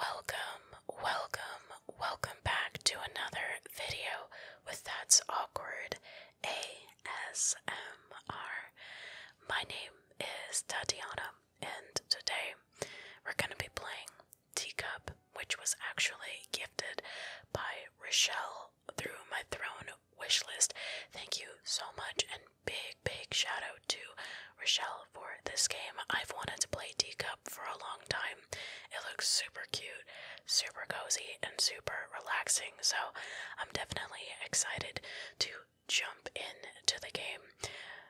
Welcome, welcome, welcome back to another video with That's Awkward ASMR. My name is Tatiana, and today we're going to be playing Teacup, which was actually gifted by Rochelle through my throne wish list. Thank you so much, and big, big shout out to Rochelle for this game. I've wanted to play Teacup for a long time. It looks super cute, super cozy, and super relaxing, so I'm definitely excited to jump in to the game.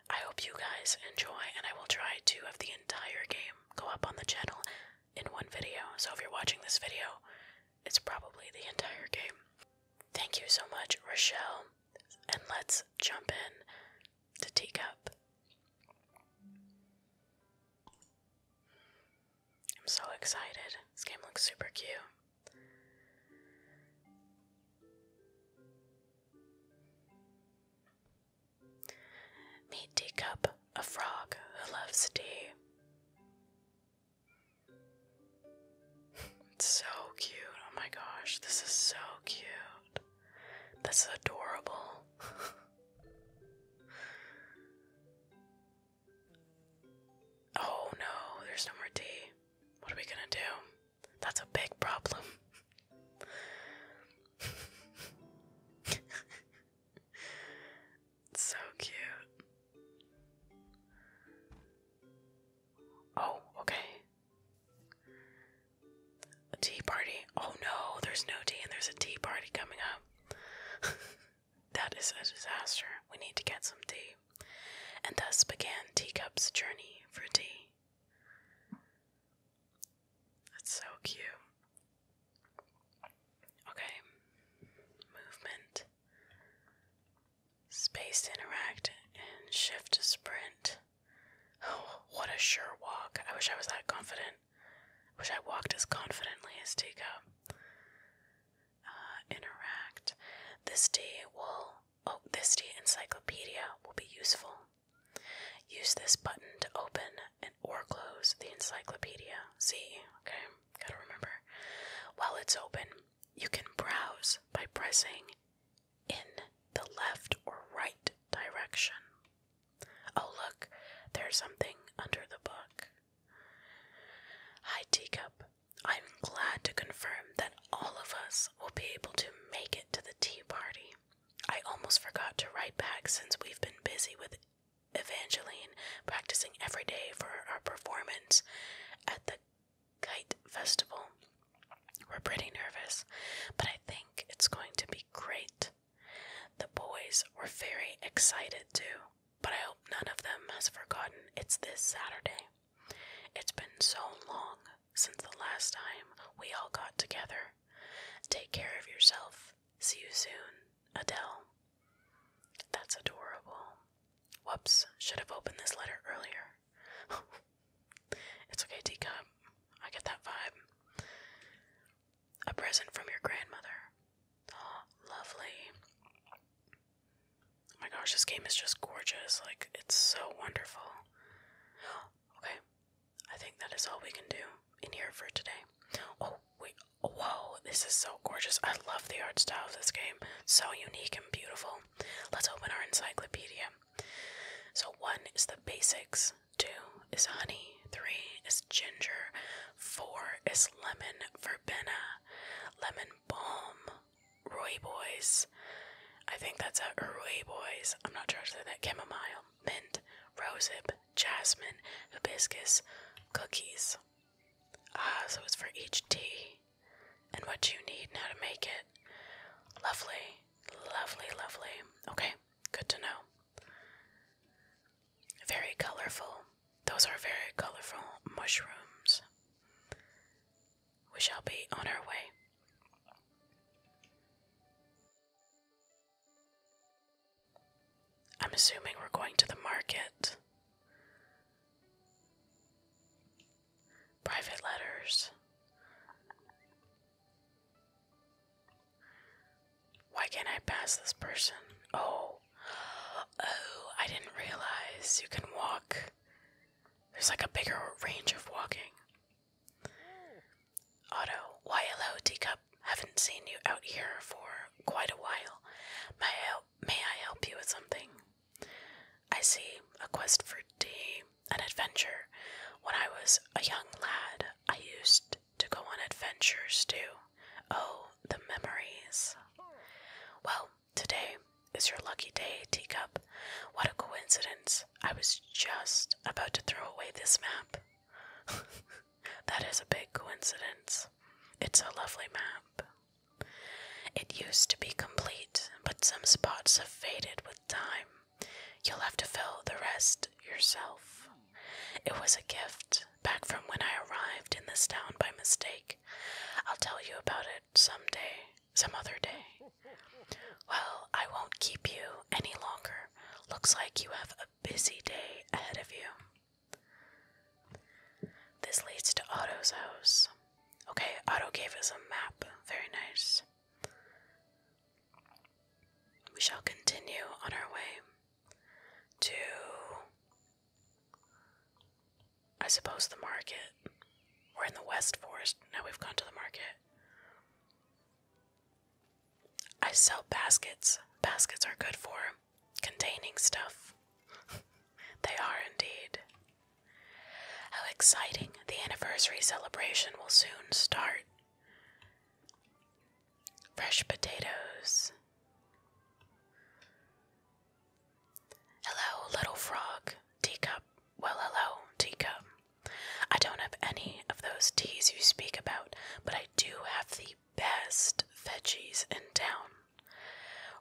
I hope you guys enjoy, and I will try to have the entire game go up on the channel in one video. So if you're watching this video, it's probably the entire game. Thank you so much, Rochelle, and let's jump in to take up. I'm so excited. This game looks super cute. Meet Teacup, a frog who loves tea. It's so cute. Oh my gosh, this is so cute. This is adorable. oh no, there's no more tea. What are we gonna do? That's a big problem. so cute. Oh, okay. A tea party? Oh no, there's no tea and there's a tea party coming up. that is a disaster. We need to get some tea. And thus began Teacup's journey for tea. That's so cute. Okay. Movement. Space interact and shift sprint. what a sure walk. I wish I was that confident. I wish I walked as confidently as Tika. Uh, interact. This D will. Oh, this D encyclopedia will be useful. Use this button to open and or close the encyclopedia. See, okay, gotta remember. While it's open, you can browse by pressing in the left or right direction. Oh, look, there's something under the book. Hi, Teacup. I'm glad to confirm that all of us will be able to make it to the tea party. I almost forgot to write back since we've been busy with Evangeline practicing every day for our performance at the Kite Festival. We're pretty nervous, but I think it's going to be great. The boys were very excited too, but I hope none of them has forgotten it's this Saturday. It's been so long since the last time we all got together. Take care of yourself. See you soon, Adele. That's adorable. Whoops, should have opened this letter earlier. It's okay, T. Cup. I get that vibe. A present from your grandmother. Oh, lovely. my gosh, this game is just gorgeous. Like, it's so wonderful. Okay, I think that is all we can do in here for today. Oh, wait. Whoa, this is so gorgeous. I love the art style of this game. So unique and beautiful. Let's open our encyclopedia. So, one is the basics. Two is honey. Three is ginger. Four is lemon verbena. Lemon balm. boys. I think that's a boys. I'm not sure I that. Chamomile. Mint. Rosehip. Jasmine. Hibiscus. Cookies. Ah, so it's for each tea and what you need now to make it. Lovely. Lovely, lovely. Okay, Good to know. Very colorful. Those are very colorful mushrooms. We shall be on our way. I'm assuming we're going to the market. Private letters. Why can't I pass this person? Oh. Oh, I didn't realize you can walk. There's like a bigger range of walking. Otto, why hello, teacup. Haven't seen you out here for quite a while. May I help, may I help you with something? I see a quest for D an adventure. When I was a young lad, I used to go on adventures too. Oh, the memories. Well, today is your lucky day, Teacup. What a coincidence. I was just about to throw away this map. that is a big coincidence. It's a lovely map. It used to be complete, but some spots have faded with time. You'll have to fill the rest yourself. It was a gift back from when I arrived in this town by mistake. I'll tell you about it some day, some other day. Well, I won't keep you any longer. Looks like you have a busy day ahead of you. This leads to Otto's house. Okay, Otto gave us a map. Very nice. We shall continue on our way to, I suppose, the market. We're in the West Forest. Now we've gone to the market. I sell baskets. Baskets are good for containing stuff. they are indeed. How exciting! The anniversary celebration will soon start. Fresh potatoes. Hello, little frog. Teacup. Well, hello, teacup. I don't have any of those teas you speak about, but I do have the best veggies in town.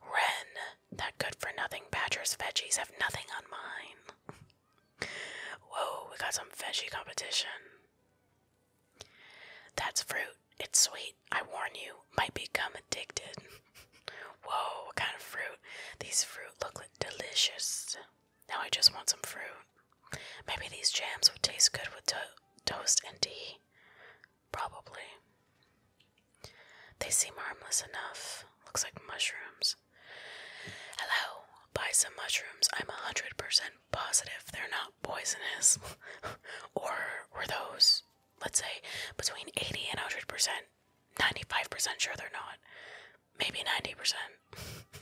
Wren, that good for nothing badger's veggies have nothing on mine. Whoa, we got some veggie competition. That's fruit. It's sweet. I warn you, might become addicted. Whoa, what kind of fruit? These fruit look delicious. Now I just want some fruit. Maybe these jams would taste good with toast and tea. Probably. They seem harmless enough. Looks like mushrooms. Hello, buy some mushrooms. I'm 100% positive they're not poisonous. or were those, let's say, between 80 and 100%? 95% sure they're not. Maybe 90%.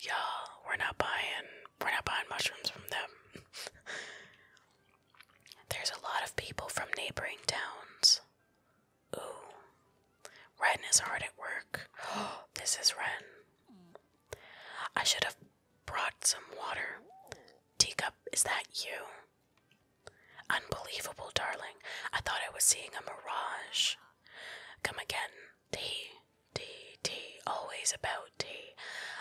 Y'all, we're not buying we're not buying mushrooms from them. There's a lot of people from neighboring towns. Ooh, Ren is hard at work. this is Ren. I should have brought some water. Teacup, is that you? Unbelievable, darling. I thought I was seeing a mirage. Come again. Tea, tea, tea. Always about tea.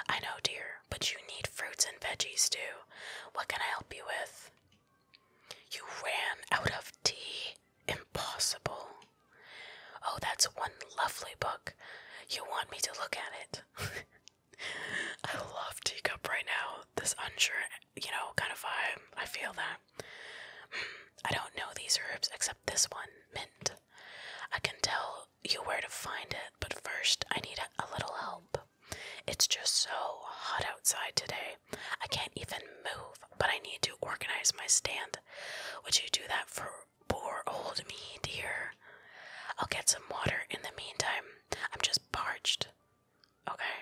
I know, dear, but you need fruits and veggies too. What can I help you with? You ran out of tea. Impossible. Oh, that's one lovely book. You want me to look at it. I love teacup right now. This unsure, you know, kind of vibe. I feel that. Mm, I don't know these herbs except this one, mint. I can tell you where to find it, but first I need a, a little help. It's just so hot outside today. I can't even move, but I need to organize my stand would you do that for poor old me, dear? I'll get some water in the meantime. I'm just parched. Okay.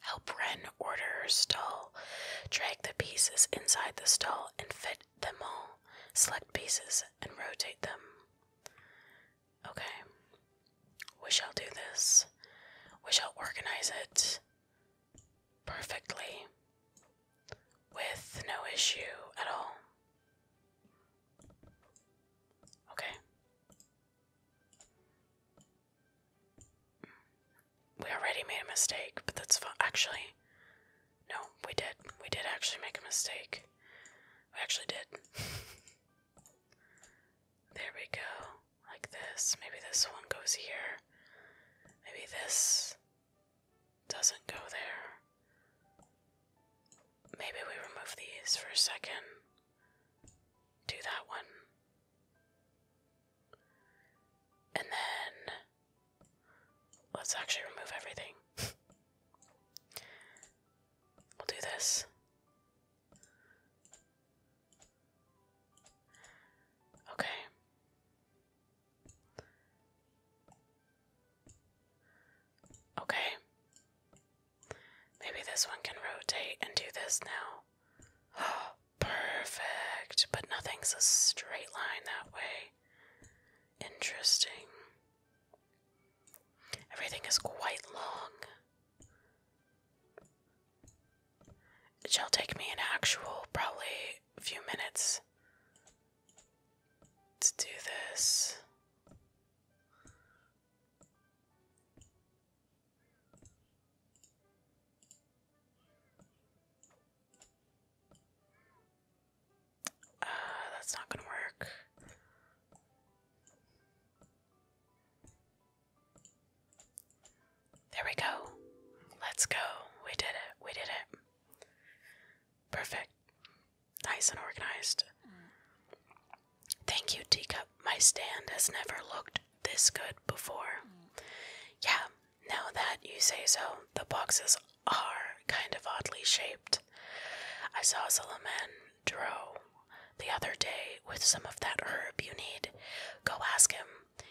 Help Wren order her stall. Drag the pieces inside the stall and fit them all. Select pieces and rotate them. Okay. We shall do this. We shall organize it perfectly with no issue at all. Okay. We already made a mistake, but that's Actually, no, we did. We did actually make a mistake. We actually did. there we go like this. Maybe this one goes here. Maybe this doesn't go there. Maybe we remove these for a second. Do that one. And then let's actually remove everything. we'll do this. Okay. Okay. Maybe this one can rotate and do this now. perfect. But nothing's a straight line that way. Interesting. Everything is quite long. It shall take me an actual, probably, few minutes to do this. Uh, that's not gonna work. There we go. Let's go. We did it. We did it. Perfect. Nice and organized. Thank you, Teacup. My stand has never looked this good before. Yeah, now that you say so, the boxes are kind of oddly shaped. I saw Solomon draw the other day with some of that herb you need. Go ask him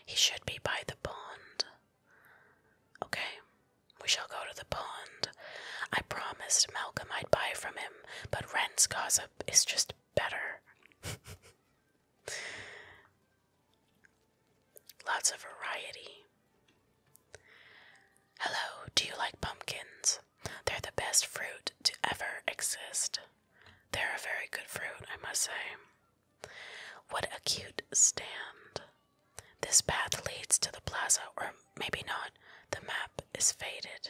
he should be by the pond. Okay, we shall go to the pond. I promised Malcolm I'd buy from him, but Ren's gossip is just better. Lots of variety. Hello, do you like pumpkins? They're the best fruit to ever exist. They're a very good fruit, I must say. What a cute stand. This path leads to the plaza, or maybe not. The map is faded.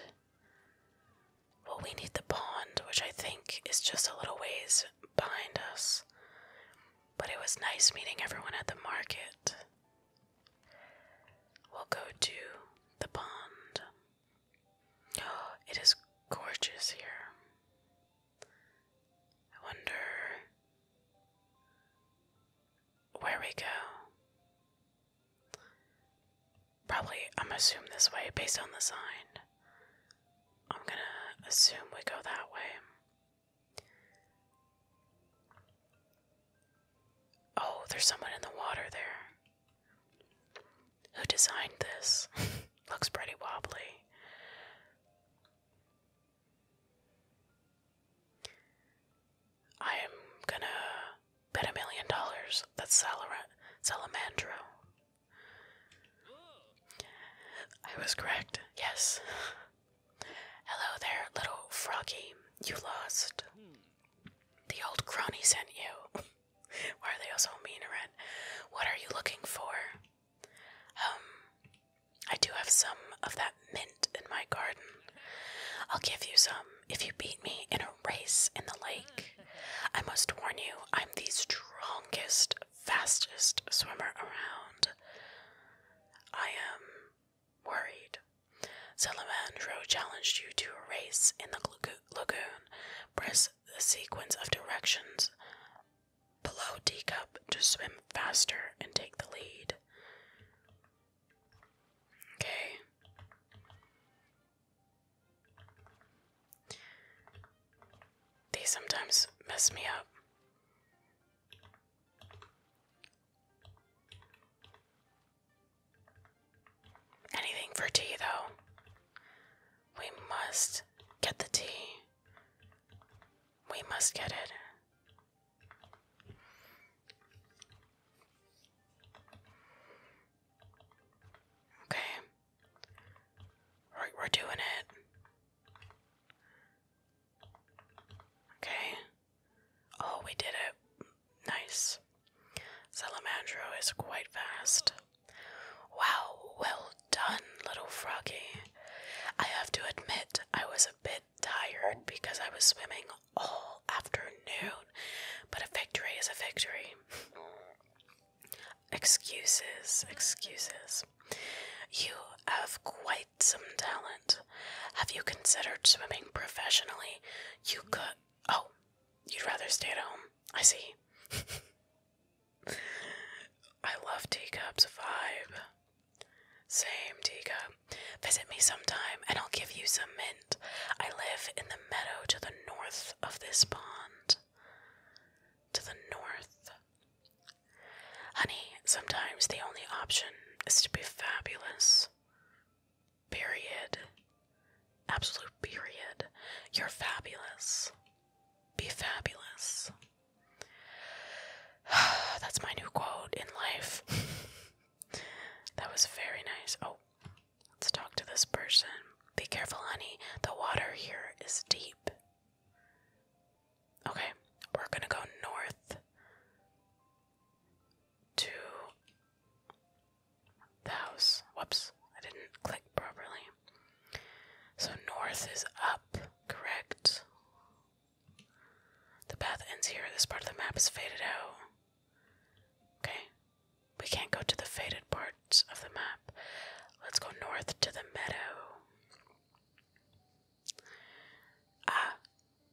Well, we need the pond, which I think is just a little ways behind us. But it was nice meeting everyone at the market. We'll go to the pond. it is gorgeous here. I wonder where we go. Probably, I'm going this way based on the sign. I'm gonna assume we go that way. Oh, there's someone in the water there. Who designed this? Looks pretty wobbly. I am gonna bet a million dollars that Salar Salamandro. I was correct, yes. Hello there, little froggy. You lost. The old crony sent you. Why are they all so mean What are you looking for? Um, I do have some of that mint in my garden. I'll give you some if you beat me in a race in the lake. I must warn you, I'm the strongest, fastest swimmer around. I am worried. Salamandro challenged you to a race in the lagoon. Press the sequence of directions below D cup to swim faster and take the lead. Okay. These sometimes mess me up. Anything for tea, though. We must get the tea. We must get it. Okay. we we're doing it. Okay. Oh, we did it. Nice. Salamandro is quite fast. Wow, well done, little froggy. I have to admit, I was a bit tired because I was swimming all afternoon, but a victory is a victory. Excuses, excuses. You have quite some talent. Have you considered swimming professionally? You could. Oh, you'd rather stay at home. I see. I love teacups vibe. Same teacup. Visit me sometime and I'll give you some mint. I live in the meadow to the north of this pond. To the north. Honey, sometimes the only option is to be fabulous. Period. Absolute period. You're fabulous. Be fabulous. That's my new quote in life. that was very nice. Oh, let's talk to this person. Be careful, honey. The water here is deep. Okay, we're gonna go north to the house. Whoops, I didn't click properly. So north is up, correct? The path ends here. This part of the map is faded out. Okay. We can't go to the faded parts of the map. Let's go north to the meadow. Ah,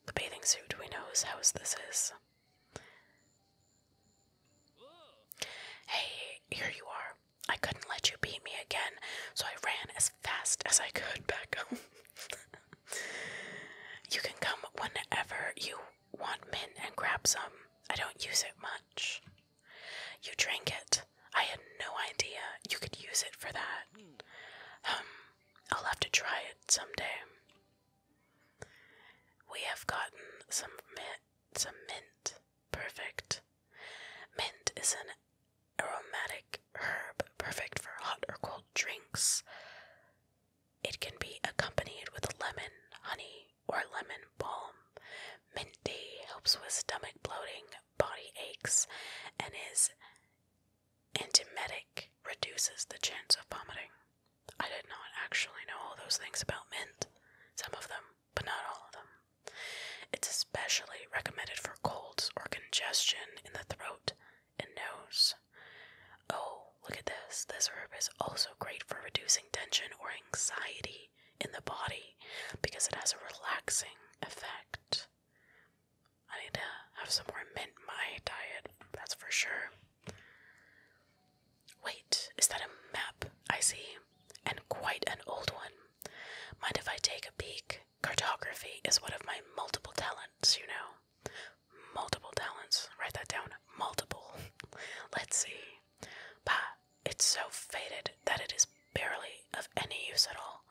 the bathing suit. We know whose house this is. Hey, here you are. I couldn't let you beat me again, so I ran as fast as I could back home. you can come whenever you want mint and grab some. I don't use it much. You drink it. I had no idea you could use it for that. Um, I'll have to try it someday. We have gotten some mint. Some mint. Perfect. Mint is an aromatic herb perfect for hot or cold drinks. It can be accompanied with lemon, honey, or lemon balm. Mint helps with stomach bloating, body aches, and is antimetic, reduces the chance of vomiting. I did not actually know all those things about mint. Some of them but not all of them. It's especially recommended for colds or congestion in the throat and nose. Oh, look at this. This herb is also great for reducing tension or anxiety in the body because it has a relaxing effect. I need to have some more mint in my diet, that's for sure. Wait, is that a map I see? and quite an old one. Mind if I take a peek? Cartography is one of my multiple talents, you know. Multiple talents. Write that down. Multiple. Let's see. Bah, it's so faded that it is barely of any use at all.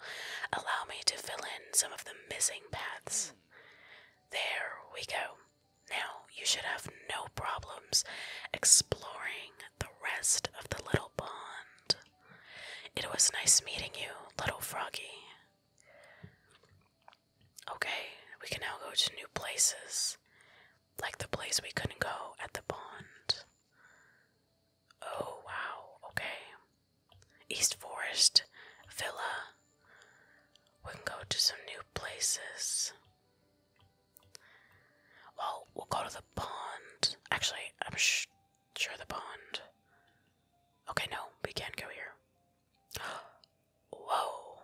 Allow me to fill in some of the missing paths. There we go. Now you should have no problems exploring the rest of the little pond. It was nice meeting you, little froggy. Okay, we can now go to new places, like the place we couldn't go at the pond. Oh, wow, okay. East Forest, Villa. We can go to some new places. Well, we'll go to the pond. Actually, I'm sh Sure, the pond. Okay, no, we can't go here. Whoa!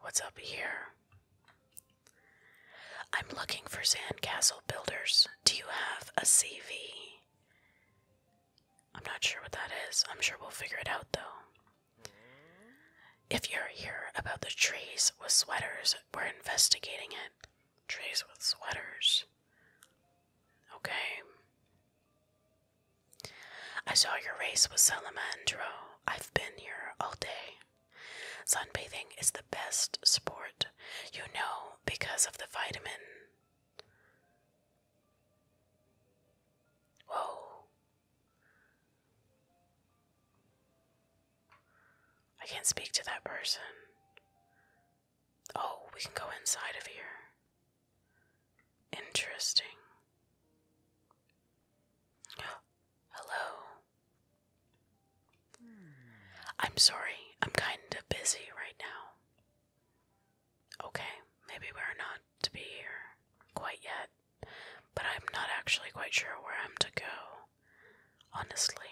What's up here? I'm looking for sandcastle builders. Do you have a CV? I'm not sure what that is. I'm sure we'll figure it out though. If you're here about the trees with sweaters, we're investigating it. Trays with sweaters. Okay. I saw your race with Salamandro. I've been here all day. Sunbathing is the best sport, you know, because of the vitamin. Whoa. I can't speak to that person. Oh, we can go inside of here. Interesting. Hello. I'm sorry, I'm kinda busy right now. Okay, maybe we're not to be here quite yet, but I'm not actually quite sure where I'm to go honestly.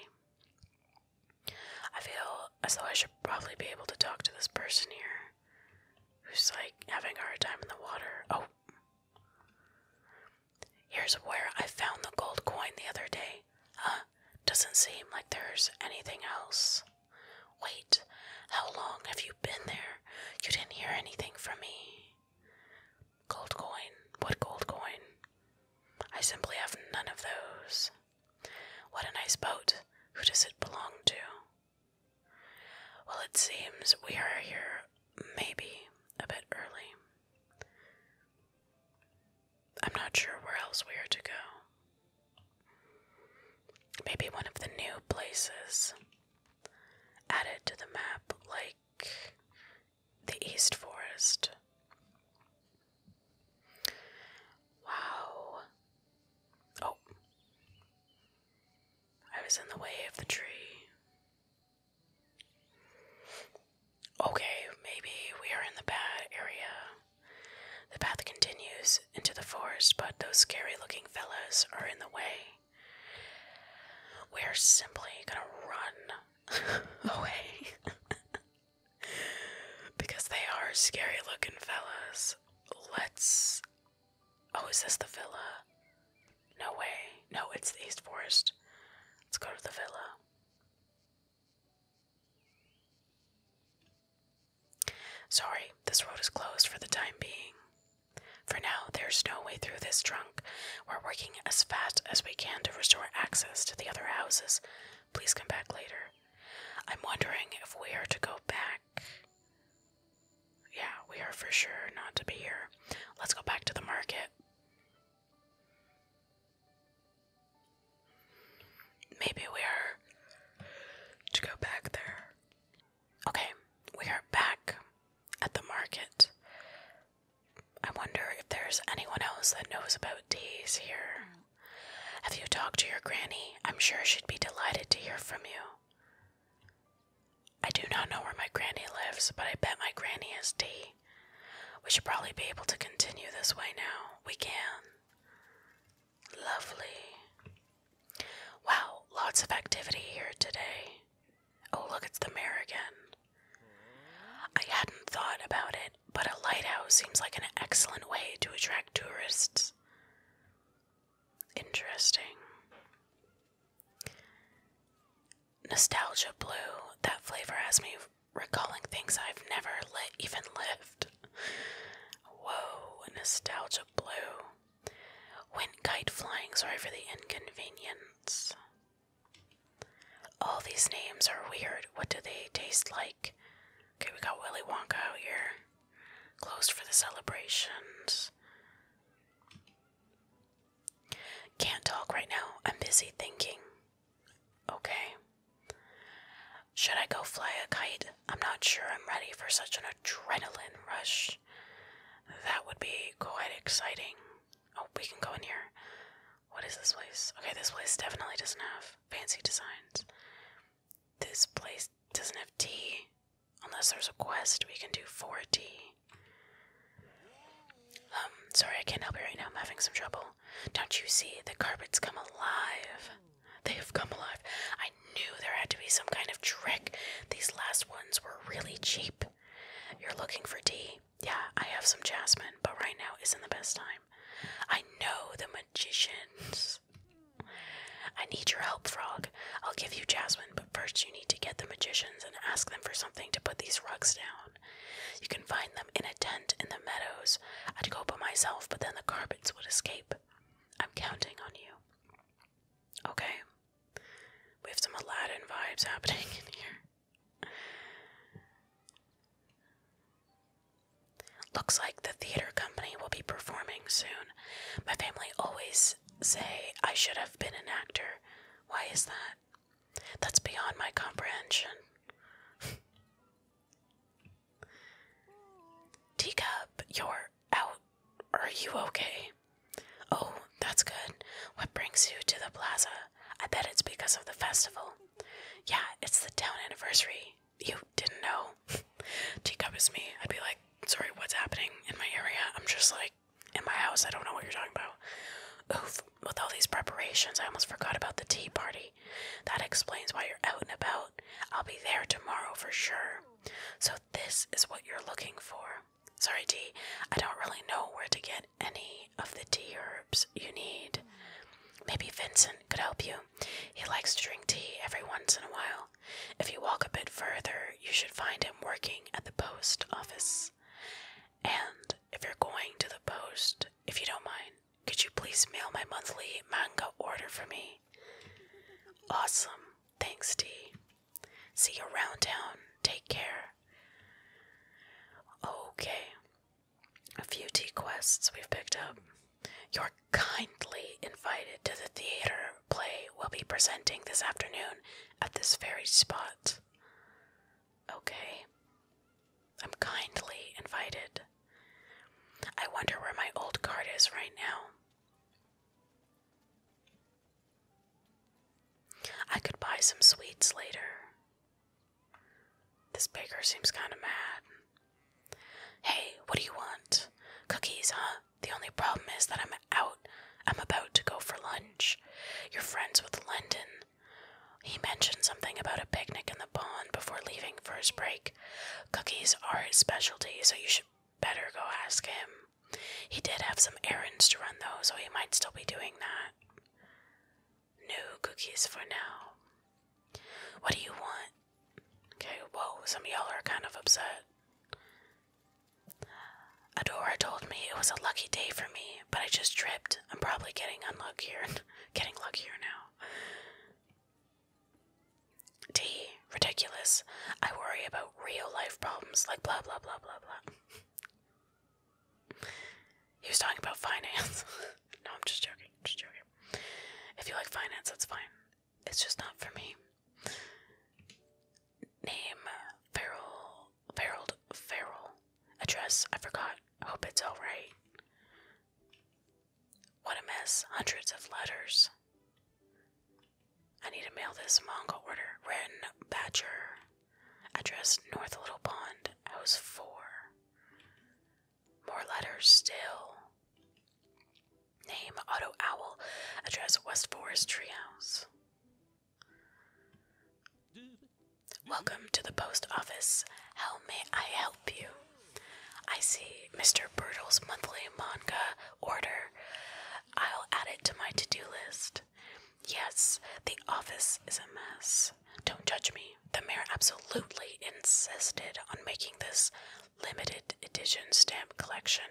I feel as though I should probably be able to talk to this person here who's like having a hard time in the water. Oh. Here's where I found the gold coin the other day. Huh? Doesn't seem like there's anything else. Wait, how long have you been there? You didn't hear anything from me. Gold coin. What gold coin? I simply have none of those. What a nice boat. Who does it belong to? Well, it seems we are here maybe a bit early. I'm not sure where else we are to go. Maybe one of the new places added to the map, like the East Forest. Wow. Oh. I was in the way of the tree. Okay, maybe we are in the bad area. The path continues into the forest, but those scary looking fellas are in the way. We're simply gonna run away because they are scary looking fellas. Let's. Oh, is this the villa? No way. No, it's the East Forest. Let's go to the villa. Sorry, this road is closed for the time being. For now, there's no way through this trunk, we're working as fast as we can to restore access to the other houses. Please come back later. I'm wondering if we are to go back. Yeah, we are for sure not to be here. Let's go back to the market. Maybe we are to go back there. Okay, we are back at the market. I wonder if there's anyone else that knows about days here. Have you talked to your granny? I'm sure she'd be delighted to hear from you. I do not know where my granny lives, but I bet my granny is D. We should probably be able to continue this way now. We can. Lovely. Wow, lots of activity here today. Oh, look, it's the mayor again. I hadn't thought about it, but a lighthouse seems like an excellent way to attract tourists. Interesting. Nostalgia blue. That flavor has me recalling things I've never even lived. Whoa, nostalgia blue. Went kite flying. Sorry for the inconvenience. All these names are weird. What do they taste like? Okay, we got Willy Wonka out here. Closed for the celebrations. Can't talk right now. I'm busy thinking. Okay. Should I go fly a kite? I'm not sure I'm ready for such an adrenaline rush. That would be quite exciting. Oh, we can go in here. What is this place? Okay, this place definitely doesn't have fancy designs. This place doesn't have tea. Unless there's a quest, we can do for tea. Um, sorry, I can't help you right now. I'm having some trouble. Don't you see? The carpet's come alive. They have come alive. I knew there had to be some kind of trick. These last ones were really cheap. You're looking for tea yeah, I have some jasmine, but right now isn't the best time. I know the magicians. I need your help, Frog. I'll give you jasmine, but first you need to get the magicians and ask them for something to put these rugs down. You can find them in a tent in the meadows. I'd go by myself, but then the carpets would escape. I'm counting on you. Okay. We have some Aladdin vibes happening in here. Looks like the theater company will be performing soon. My family always say I should have been an actor. Why is that? That's beyond my comprehension. Teacup, you're out. Are you okay? Oh, that's good. What brings you to the plaza? I bet it's because of the festival. Yeah, it's the town anniversary. You didn't know. Teacup is me. I'd be like, sorry, what's happening in my area? I'm just like, in my house, I don't know what you're talking about. Oof, with all these preparations, I almost forgot about the tea party. That explains why you're out and about. I'll be there tomorrow for sure. So, this is what you're looking for. Sorry, T, I don't really know where to get any of the tea or you need. Maybe Vincent could help you. He likes to drink tea every once in a while. If you walk a bit further, you should find him working at the post office. And if you're going to the post, if you don't mind, could you please mail my monthly manga order for me? Awesome. Thanks, T. See you around town. Take care. Okay a few tea quests we've picked up. You're kindly invited to the theater play we'll be presenting this afternoon at this very spot. Okay. I'm kindly invited. I wonder where my old card is right now. I could buy some sweets later. This baker seems kind of mad. Hey, what do you want? Cookies, huh? The only problem is that I'm out. I'm about to go for lunch. You're friends with London. He mentioned something about a picnic in the pond before leaving for his break. Cookies are his specialty, so you should better go ask him. He did have some errands to run, though, so he might still be doing that new cookies for now. What do you want? Okay, whoa, some of y'all are kind of upset. Adora told me it was a lucky day for me, but I just tripped. I'm probably getting and getting luckier now. D. Ridiculous. I worry about real life problems like blah blah blah blah blah. He was talking about finance. no, I'm just joking. just joking. If you like finance, that's fine. It's just not for me. Name Farrell Farrell Farrell. Address I forgot. Hope it's all right. What a mess. Hundreds of letters. I need to mail this manga order. Written Badger. Address North Little Pond. House four. More letters still. Name Otto Owl. Address West Forest Treehouse. Welcome to the post office. How may I help you? I see Mr. Birtle's monthly manga order. I'll add it to my to do list. Yes, the office is a mess. Don't judge me. The mayor absolutely insisted on making this limited edition stamp collection.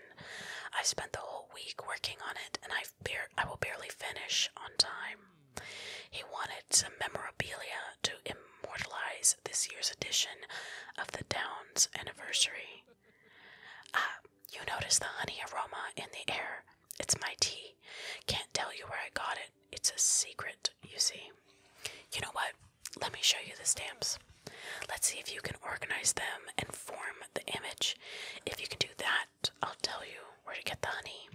I spent the whole week working on it, and I bar I will barely finish on time. He wanted some memorabilia to immortalize this year's edition of the town's anniversary. Ah, you notice the honey aroma in the air. It's my tea. Can't tell you where I got it. It's a secret, you see. You know what? Let me show you the stamps. Let's see if you can organize them and form the image. If you can do that, I'll tell you where to get the honey.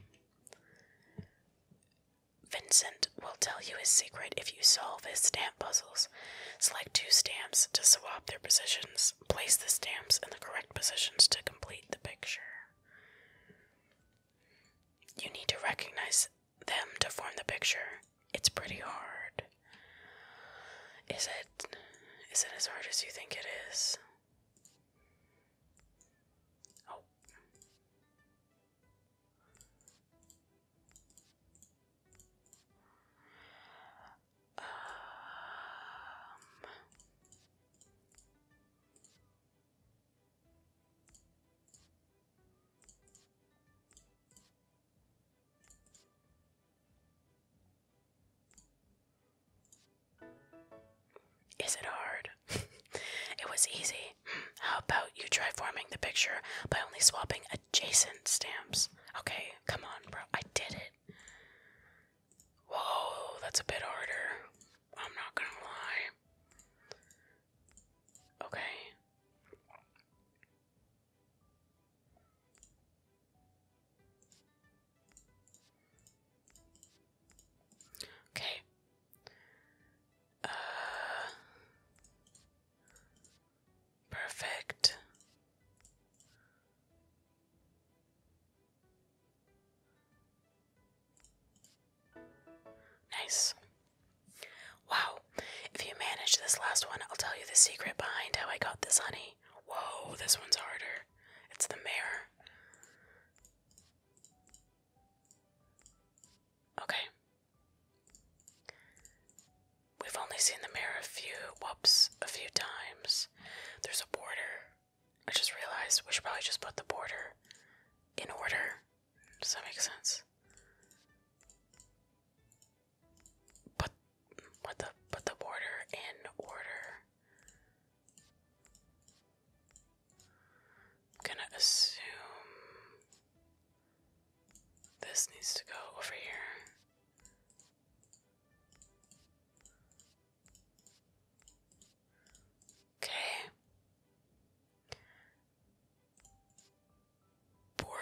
Vincent will tell you his secret if you solve his stamp puzzles. Select two stamps to swap their positions. Place the stamps in the correct positions to complete the picture. You need to recognize them to form the picture. It's pretty hard. Is it is it as hard as you think it is? Oh. Um. Is it hard? it was easy. How about you try forming the picture by only swapping adjacent stamps? Okay, come on, bro. I did it. Whoa, that's a bit harder. I'm not gonna lie. Okay. Okay. Uh, perfect. Nice. Wow. If you manage this last one, I'll tell you the secret behind how I got this honey. Whoa, this one's harder. It's the mirror. Okay. We've only seen the mirror a few whoops a few times. There's a border. I just realized we should probably just put the border in order. Does that make sense? Put what the put the border in order. I'm gonna assume this needs to go over here. Okay. Border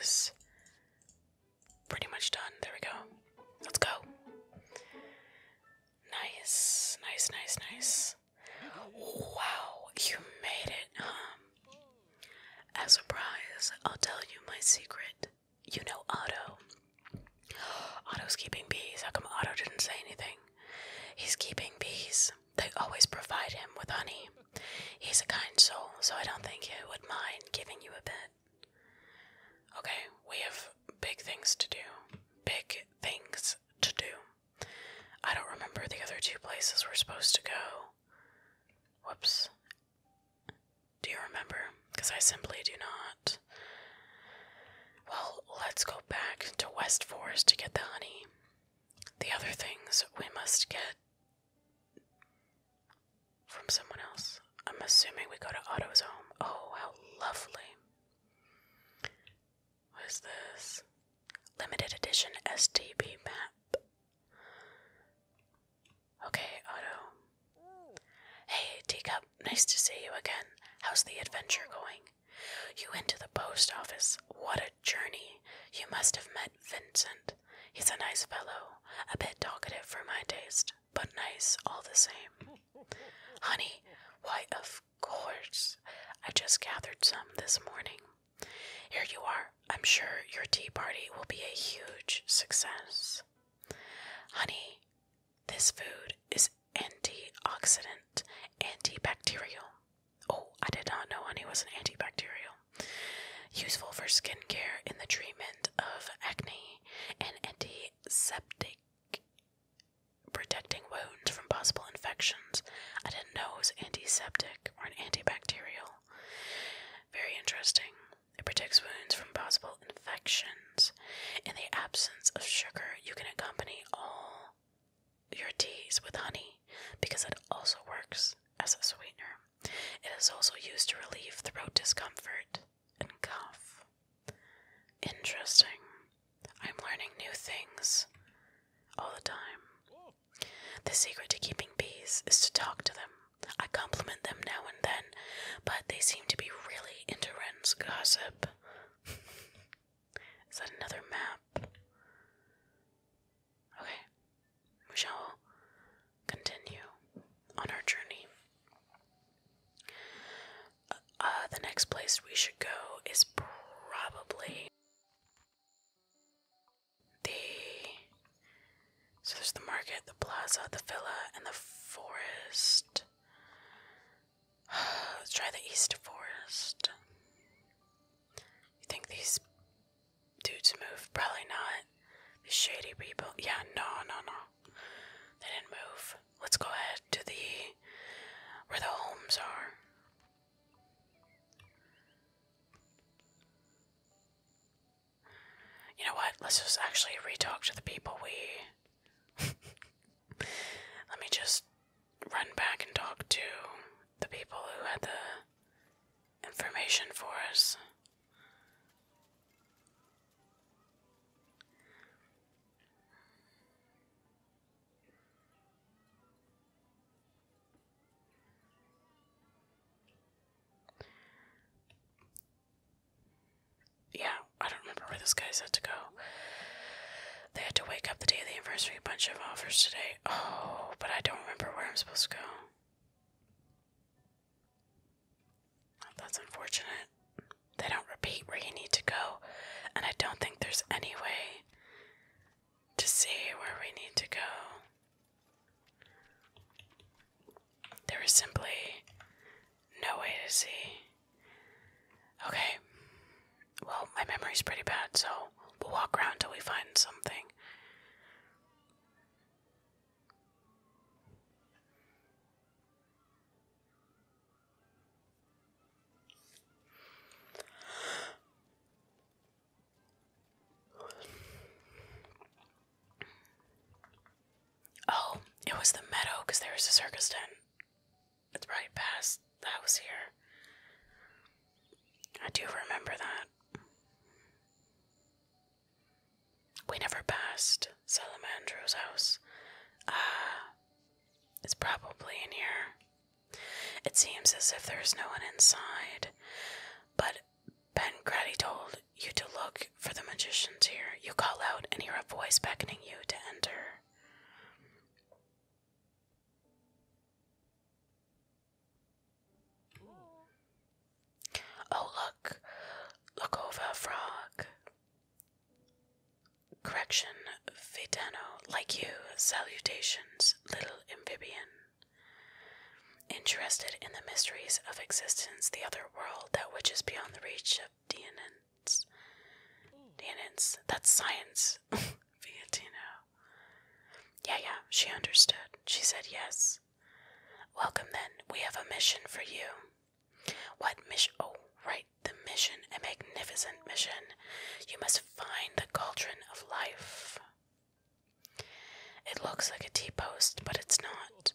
is pretty much done. There we go. Let's go. Nice, nice, nice, nice. Wow, you made it, huh? As a prize, I'll tell you my secret. You know Otto. Otto's keeping bees. How come Otto didn't say anything? He's keeping bees. They always provide him with honey. He's a kind soul, so I don't think he would mind giving you a bit. Okay, we have big things to do. Big things to do. I don't remember the other two places we're supposed to go. Whoops. Do you remember? Because I simply do not. Well, let's go back to West Forest to get the honey. The other things we must get from someone else. I'm assuming we go to Otto's home. Oh, how lovely. What is this? Limited edition SDB map. Okay, Otto. Hey, Teacup, nice to see you again. How's the adventure going? You went to the post office. What a journey! You must have met Vincent. He's a nice fellow, a bit talkative for my taste, but nice all the same. Honey, why, of course. I just gathered some this morning. Here you are. I'm sure your tea party will be a huge success. Honey, this food is antioxidant, antibacterial. Oh, I did not know honey was an antibacterial. Useful for skincare in the treatment of acne and antiseptic, protecting wounds from possible infections. I didn't know it was antiseptic or an antibacterial. Very interesting. It protects wounds from possible infections. In the absence of sugar, you can accompany all your teas with honey because it also works as a sweetener. It is also used to relieve throat discomfort and cough. Interesting. I'm learning new things all the time. The secret to keeping bees is to talk to them. I compliment them now and then, but they seem to be really into Ren's gossip. Is that another map? Okay, we shall continue on our journey. Uh, uh, the next place we should go is probably the. So there's the market, the plaza, the villa, and the forest. Let's try the East Forest. You think these dudes move? Probably not. These shady people. Yeah, no, no, no. They didn't move. Let's go ahead to the where the homes are. You know what? Let's just actually re-talk to the people we let me just run back and talk to the people who had the information for us. Yeah, I don't remember where this guy's had to go. They had to wake up the day of the anniversary. A bunch of offers today. Oh, but I don't remember where I'm supposed to go. that's unfortunate. They don't repeat where you need to go, and I don't think there's any way to see where we need to go. There is simply no way to see. Okay. Well, my memory's pretty bad, so we'll walk around till we find something. Oh, it was the meadow because there was a circus tent. It's right past the house here. I do remember that. We never passed Salamandro's house. Ah, it's probably in here. It seems as if there's no one inside, but Pancrati told you to look for the magicians here. You call out and hear a voice beckoning you to enter. Oh, look. Look over, frog. Correction, Vitano. Like you, salutations, little amphibian. Interested in the mysteries of existence, the other world, that which is beyond the reach of Dianins. Dianins, that's science. Figatino. Yeah, yeah, she understood. She said yes. Welcome then. We have a mission for you. What mission? Oh, right, the mission, a magnificent mission. You must find the cauldron of life. It looks like a teapot, but it's not.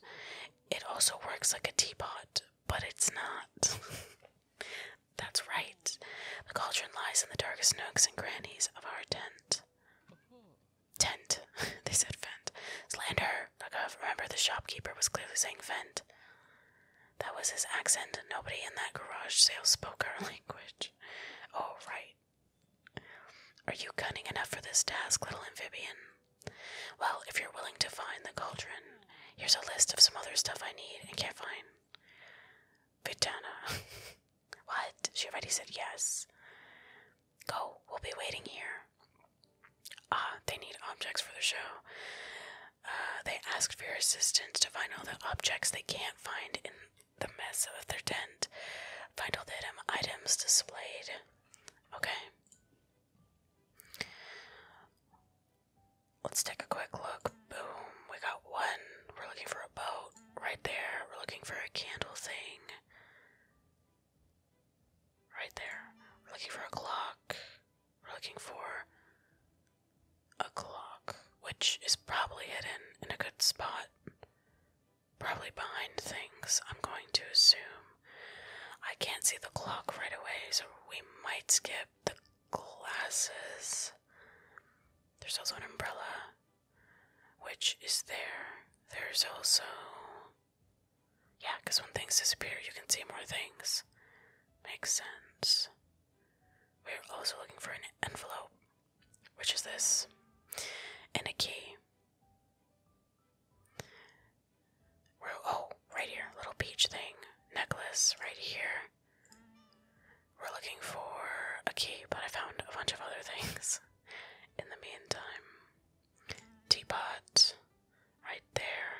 It also works like a teapot, but it's not. That's right. The cauldron lies in the darkest nooks and crannies of our tent. Tent. they said vent. Slander! Lakov, remember the shopkeeper was clearly saying vent. That was his accent. Nobody in that garage sale spoke our language. Oh, right. Are you cunning enough for this task, little amphibian? Well, if you're willing to find the cauldron, here's a list of some other stuff I need and can't find. Vitana. what? She already said yes. Go, we'll be waiting here. Ah, they need objects for the show. Uh, they asked for your assistance to find all the objects they can't find in the mess of their tent. Find all the items displayed. Okay. Let's take a quick look. Boom, we got one. We're looking for a boat right there. We're looking for a candle thing right there. We're looking for a clock. We're looking for a clock, which is probably hidden in a good spot. Probably behind things, I'm going to assume. I can't see the clock right away, so we might skip the glasses. There's also an umbrella, which is there. There's also. Yeah, because when things disappear, you can see more things. Makes sense. We're also looking for an envelope, which is this, and a key. oh, right here, little peach thing. Necklace, right here. We're looking for a key, but I found a bunch of other things in the meantime. Teapot, right there.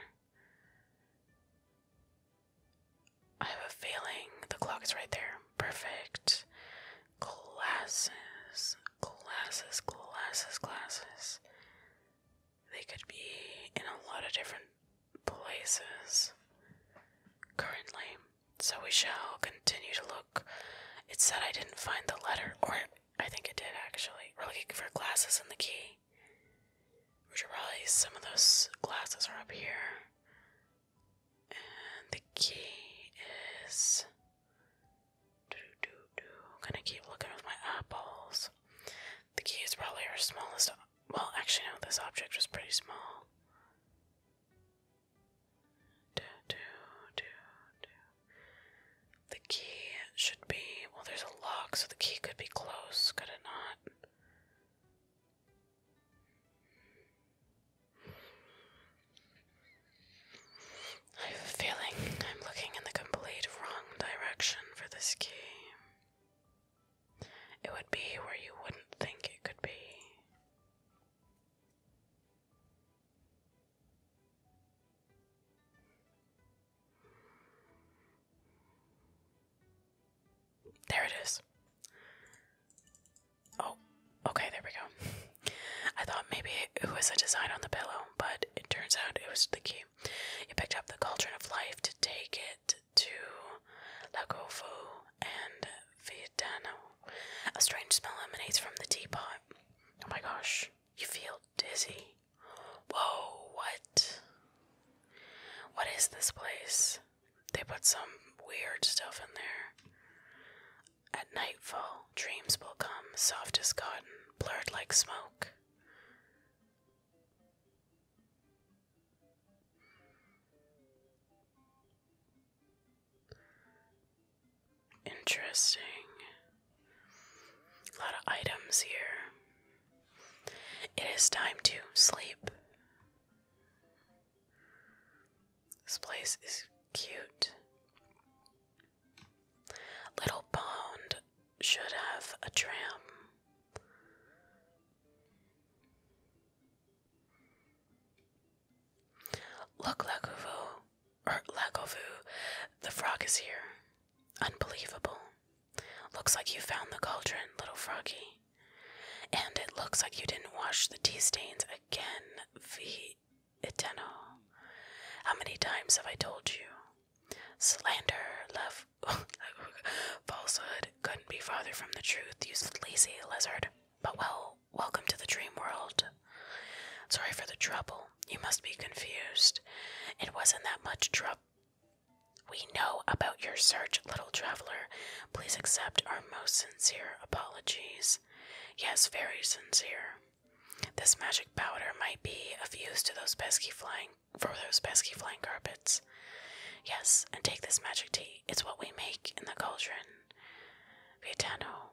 I have a feeling the clock is right there. Perfect. Glasses, glasses, glasses, glasses. They could be in a lot of different places currently. So we shall continue to look. It said I didn't find the letter, or I think it did actually. We're looking for glasses and the key. Which are probably some of those glasses are up here. And the key is. Doo -doo -doo I'm gonna keep looking with my eyeballs. The key is probably our smallest well, actually, no, this object was pretty small. The key should be. Well, there's a lock, so the key could be close, could it not? I have feeling I'm looking in the complete wrong direction for this key. It would be where you wouldn't think it could be. There it is. Oh, okay, there we go. I thought maybe it was a design on the pillow, but it turns out it was the key. You picked up the cauldron of life to take it to Lagovo and Vietano. A strange smell emanates from the teapot. Oh my gosh, you feel dizzy. Whoa, what? What is this place? They put some weird stuff in there. At nightfall, dreams will come, soft as cotton, blurred like smoke. Interesting. A lot of items here. It is time to sleep. This place is cute. Little Pond should have a tram. Look, Lagovu, or Lagovu, the frog is here. Unbelievable. Looks like you found the cauldron, little froggy. And it looks like you didn't wash the tea stains again, V. Eteno. How many times have I told you? Slander, love, falsehood, couldn't be farther from the truth, you lazy lizard. But well, welcome to the dream world. Sorry for the trouble. You must be confused. It wasn't that much trouble. We know about your search, little traveler. Please accept our most sincere apologies. Yes, very sincere. This magic powder might be of use to those pesky flying for those pesky flying carpets. Yes, and take this magic tea. It's what we make in the cauldron. Gaetano,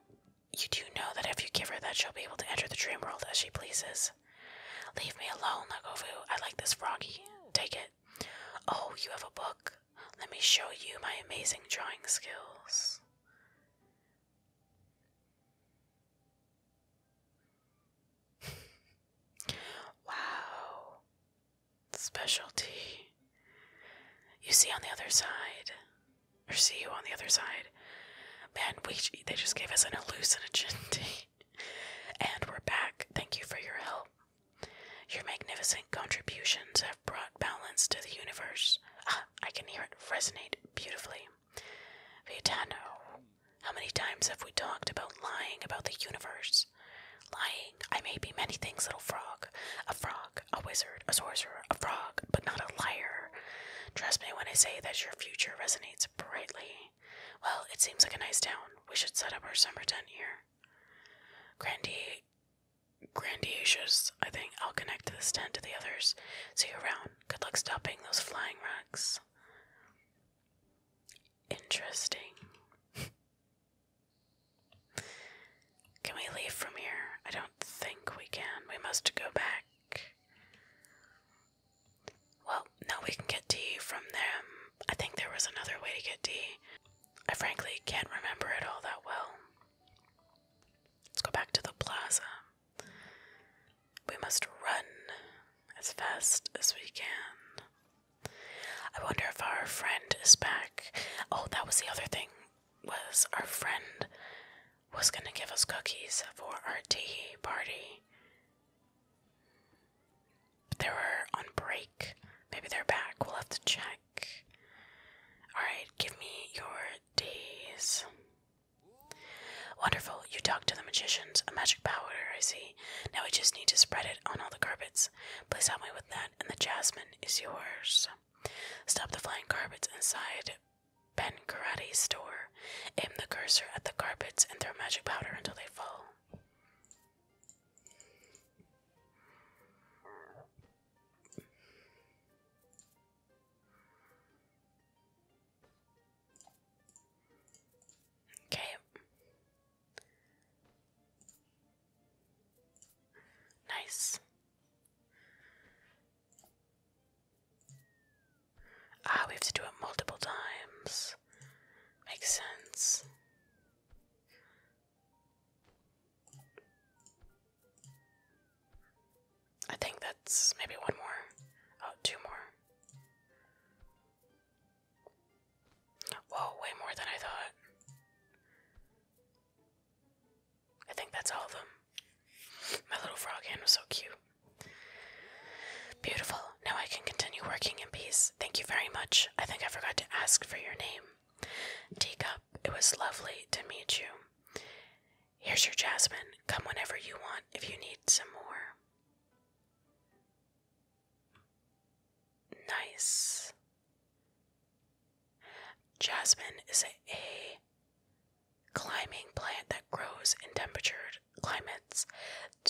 you do know that if you give her that, she'll be able to enter the dream world as she pleases. Leave me alone, Lagovu. I like this froggy. Take it. Oh, you have a book? Let me show you my amazing drawing skills. wow specialty. You see on the other side, or see you on the other side. Man, we they just gave us an hallucinogen and we're back. Thank you for your help. Your magnificent contributions have brought balance to the universe. Ah, I can hear it resonate beautifully. Vitano, how many times have we talked about lying about the universe? Lying, I may be many things, little frog. A frog, a wizard, a sorcerer, a frog, but not a liar. Trust me when I say that your future resonates brightly. Well, it seems like a nice town. We should set up our summer tent here. Grandi grandiacious, I think. I'll connect to this tent to the others. See you around. Good luck stopping those flying rocks. Interesting. Can we leave from here? I don't think we can. We must go back. Well, now we can get D from them. I think there was another way to get D. I frankly can't remember it all that well. Let's go back to the plaza. We must run as fast as we can. I wonder if our friend is back. Oh, that was the other thing was our friend was going to give us cookies for our tea party. They were on break. Maybe they're back. We'll have to check. Alright, give me your days. Wonderful. You talked to the magicians. A magic powder, I see. Now we just need to spread it on all the carpets. Please help me with that and the jasmine is yours. Stop the flying carpets inside Ben Karate's store. Aim the cursor at the carpets and throw magic powder until they fall. Okay. Nice. Ah, we have to do it multiple times. Makes sense. I think that's maybe one more. Oh, two more. Whoa, way more than I thought. I think that's all of them. My little frog hand was so cute. Beautiful. Now I can continue working in peace. Thank you very much. I think I forgot to ask for your name. Teacup, it was lovely to meet you. Here's your jasmine. Come whenever you want if you need some more. Nice. Jasmine is a, climbing plant that grows in temperate climates.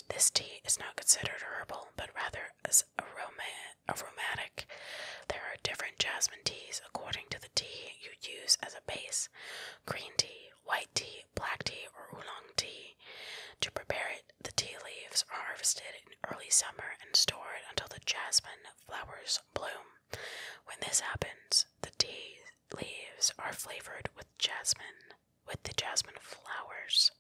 This tea is not considered herbal, but rather as aroma aromatic. There are different jasmine teas according to the tea you use as a base: green tea, white tea, black tea, or oolong tea. To prepare it, the tea leaves are harvested in early summer and stored until the jasmine flowers bloom. When this happens, the tea leaves are flavored with jasmine, with the jasmine flowers.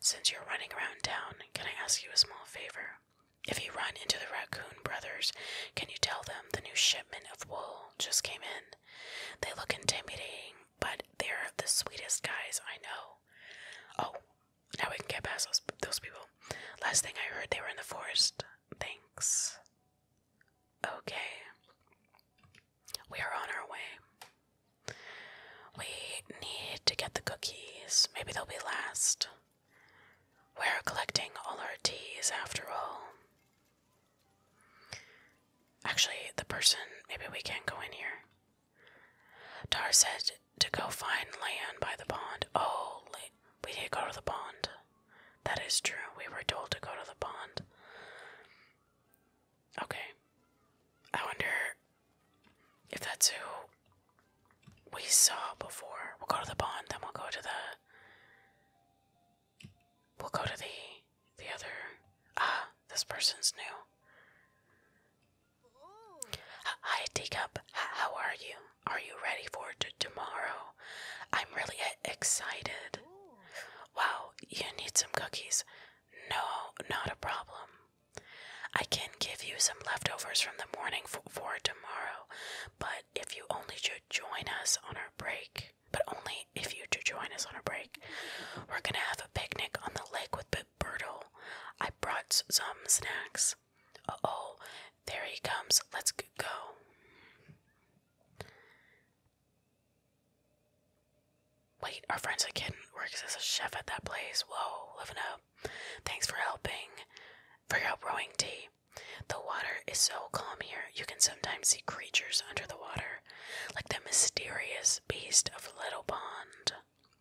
Since you're running around town, can I ask you a small favor? If you run into the Raccoon Brothers, can you tell them the new shipment of wool just came in? They look intimidating, but they're the sweetest guys I know. Oh, now we can get past those, those people. Last thing I heard, they were in the forest. Thanks. Okay. We are on our way. We need to get the cookies. Maybe they'll be last. We're collecting all our teas after all. Actually, the person, maybe we can go in here. Tar said to go find land by the pond. Oh, we did go to the pond. That is true. We were told to go to the pond. Okay. I wonder if that's who we saw before. We'll go to the pond, then we'll go to the. We'll go to the the other. Ah, this person's new. Hi, Teacup. How are you? Are you ready for tomorrow? I'm really excited. Wow, you need some cookies. No, not a problem. I can give you some leftovers from the morning for tomorrow, but if you only should join us on our break, but only if you do join us on our break, we're gonna have a picnic on the lake with Bertle. I brought some snacks. Uh oh, there he comes. Let's go. Wait, our friend's a kid works as a chef at that place. Whoa, living up. Thanks for helping. Figure out brewing tea. The water is so calm here, you can sometimes see creatures under the water, like the mysterious beast of Little Pond.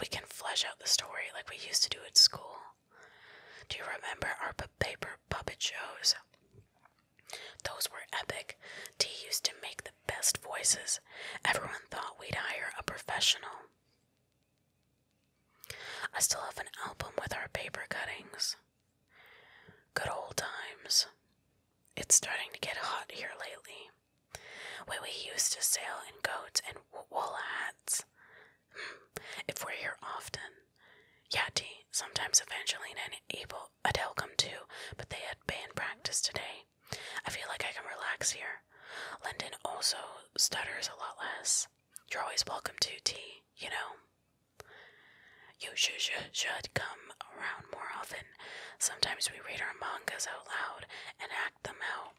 we can flesh out the story like we used to do at school. Do you remember our paper puppet shows? Those were epic. T used to make the best voices. Everyone thought we'd hire a professional. I still have an album with our paper cuttings. Good old times. It's starting to get hot here lately where we used to sail in coats and wool hats. Hmm. if we're here often. yeah, Yati, sometimes Evangelina and Abel, Adele come too, but they had band practice today. I feel like I can relax here. Lyndon also stutters a lot less. You're always welcome to tea, you know. You should, should, should come around more often. Sometimes we read our mangas out loud and act them out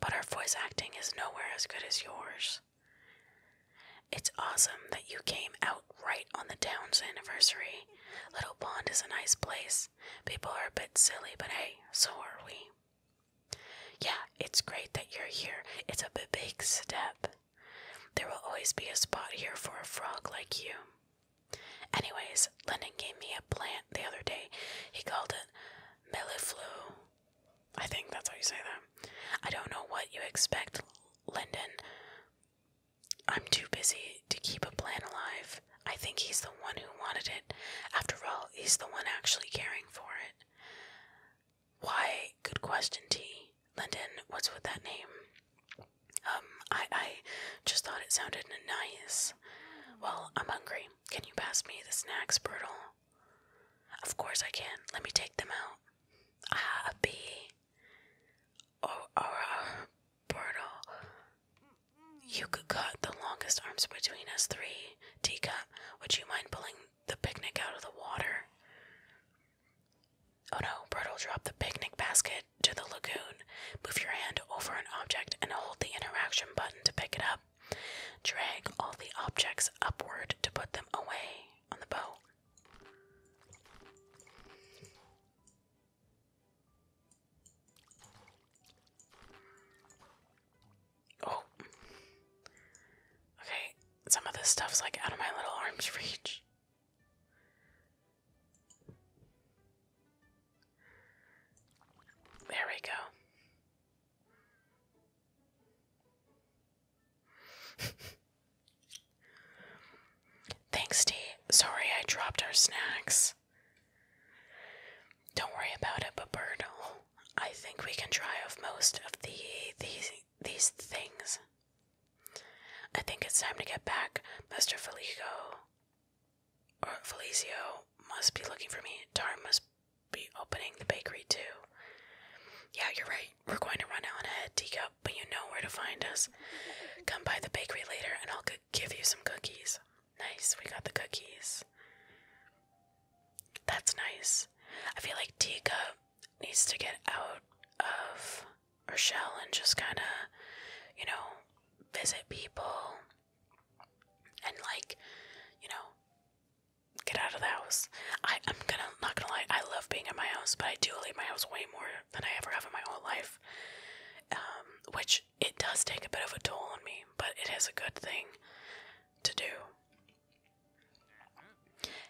but our voice acting is nowhere as good as yours. It's awesome that you came out right on the town's anniversary. Little Pond is a nice place. People are a bit silly, but hey, so are we. Yeah, it's great that you're here. It's a big step. There will always be a spot here for a frog like you. Anyways, Lennon gave me a plant the other day. He called it Milliflu. I think that's how you say that. I don't know what you expect, Lyndon. I'm too busy to keep a plan alive. I think he's the one who wanted it. After all, he's the one actually caring for it. Why? Good question, T. Lyndon, what's with that name? Um, I, I just thought it sounded nice. Well, I'm hungry can you pass me the snacks, Brutal? Of course I can. Let me take them out. Ah, a bee. Oh, uh, oh, oh, Brutal. You could cut the longest arms between us three. Tika, would you mind pulling the picnic out of the water? Oh no, Brutal, drop the picnic basket to the lagoon. Move your hand over an object and hold the interaction button to pick it up. Drag all the objects upward to put them away on the boat. Oh. Okay, some of this stuff's like out of my little arm's reach. There we go. Thanks, D. Sorry I dropped our snacks. Don't worry about it, Baberto. I think we can try off most of the these these things. I think it's time to get back, Mr. Felico. Felicio must be looking for me. Tar must be opening the bakery too. Yeah, you're right. We're going to run out on ahead, Teacup, but you know where to find us. Come by the bakery later and I'll give you some cookies. Nice, we got the cookies. That's nice. I feel like Teacup needs to get out of her shell and just kind of, you know, visit people, and like, you know, get out of the house. I, I'm gonna not gonna lie, I love being in my house, but I do leave my house way more than I ever have in my whole life. Um, which it does take a bit of a toll on me, but it is a good thing to do.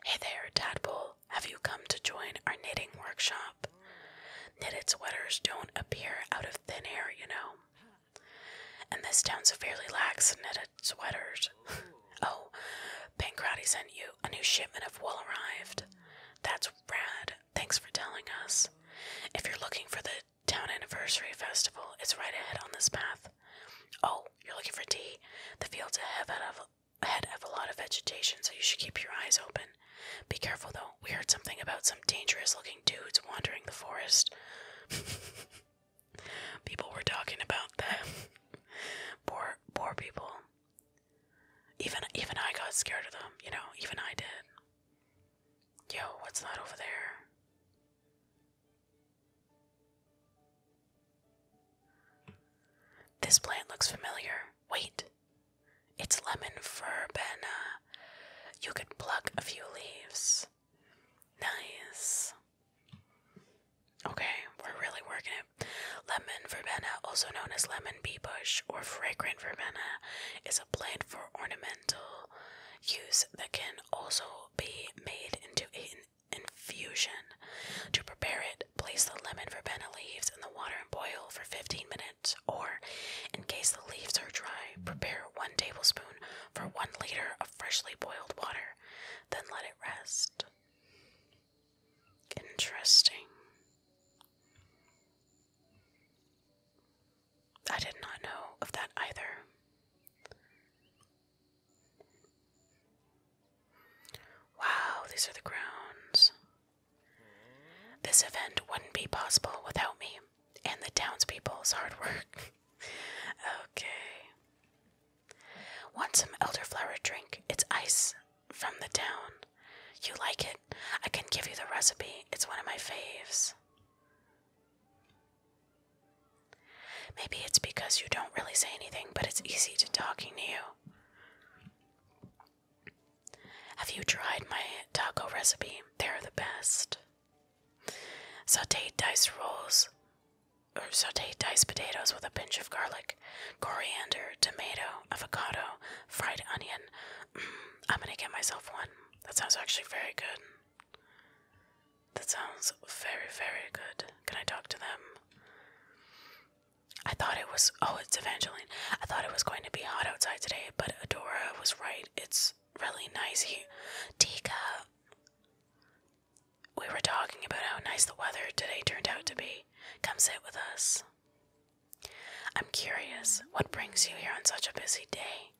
Hey there, Tadpole. Have you come to join our knitting workshop? Knitted sweaters don't appear out of thin air, you know. And this town severely lacks knitted sweaters. oh, Pancrati sent you. A new shipment of wool arrived. That's rad. Thanks for telling us. If you're looking for the town anniversary festival, it's right ahead on this path. Oh, you're looking for tea? The fields have, ahead have a lot of vegetation, so you should keep your eyes open. Be careful though. We heard something about some dangerous looking dudes wandering the forest. people were talking about that. poor, poor people. Even, even I got scared of them. You know, even I did. Yo, what's that over there? This plant looks familiar. Wait, it's lemon verbena. You could pluck a few leaves. Nice. Okay, we're really working it. Lemon verbena, also known as lemon bee bush or fragrant verbena, is a plant for ornamental use that can also be made into an infusion. To prepare it, place the lemon verbena leaves in the water and boil for 15 minutes, or in case the leaves are dry, prepare 1 tablespoon for 1 liter of freshly boiled water, then let it rest. Interesting. I did not know of that either. Wow, these are the grounds. This event wouldn't be possible without me and the townspeople's hard work. okay. Want some elderflower drink? It's ice from the town. You like it? I can give you the recipe. It's one of my faves. Maybe it's because you don't really say anything, but it's easy to talking to you. Have you tried my taco recipe? They're the best. Saute diced rolls, or saute diced potatoes with a pinch of garlic, coriander, tomato, avocado, fried onion. Mm, I'm gonna get myself one. That sounds actually very good. That sounds very, very good. Can I talk to them? I thought it was. Oh, it's Evangeline. I thought it was going to be hot outside today, but Adora was right. It's really nice here. Tika, we were talking about how nice the weather today turned out to be. Come sit with us. I'm curious, what brings you here on such a busy day?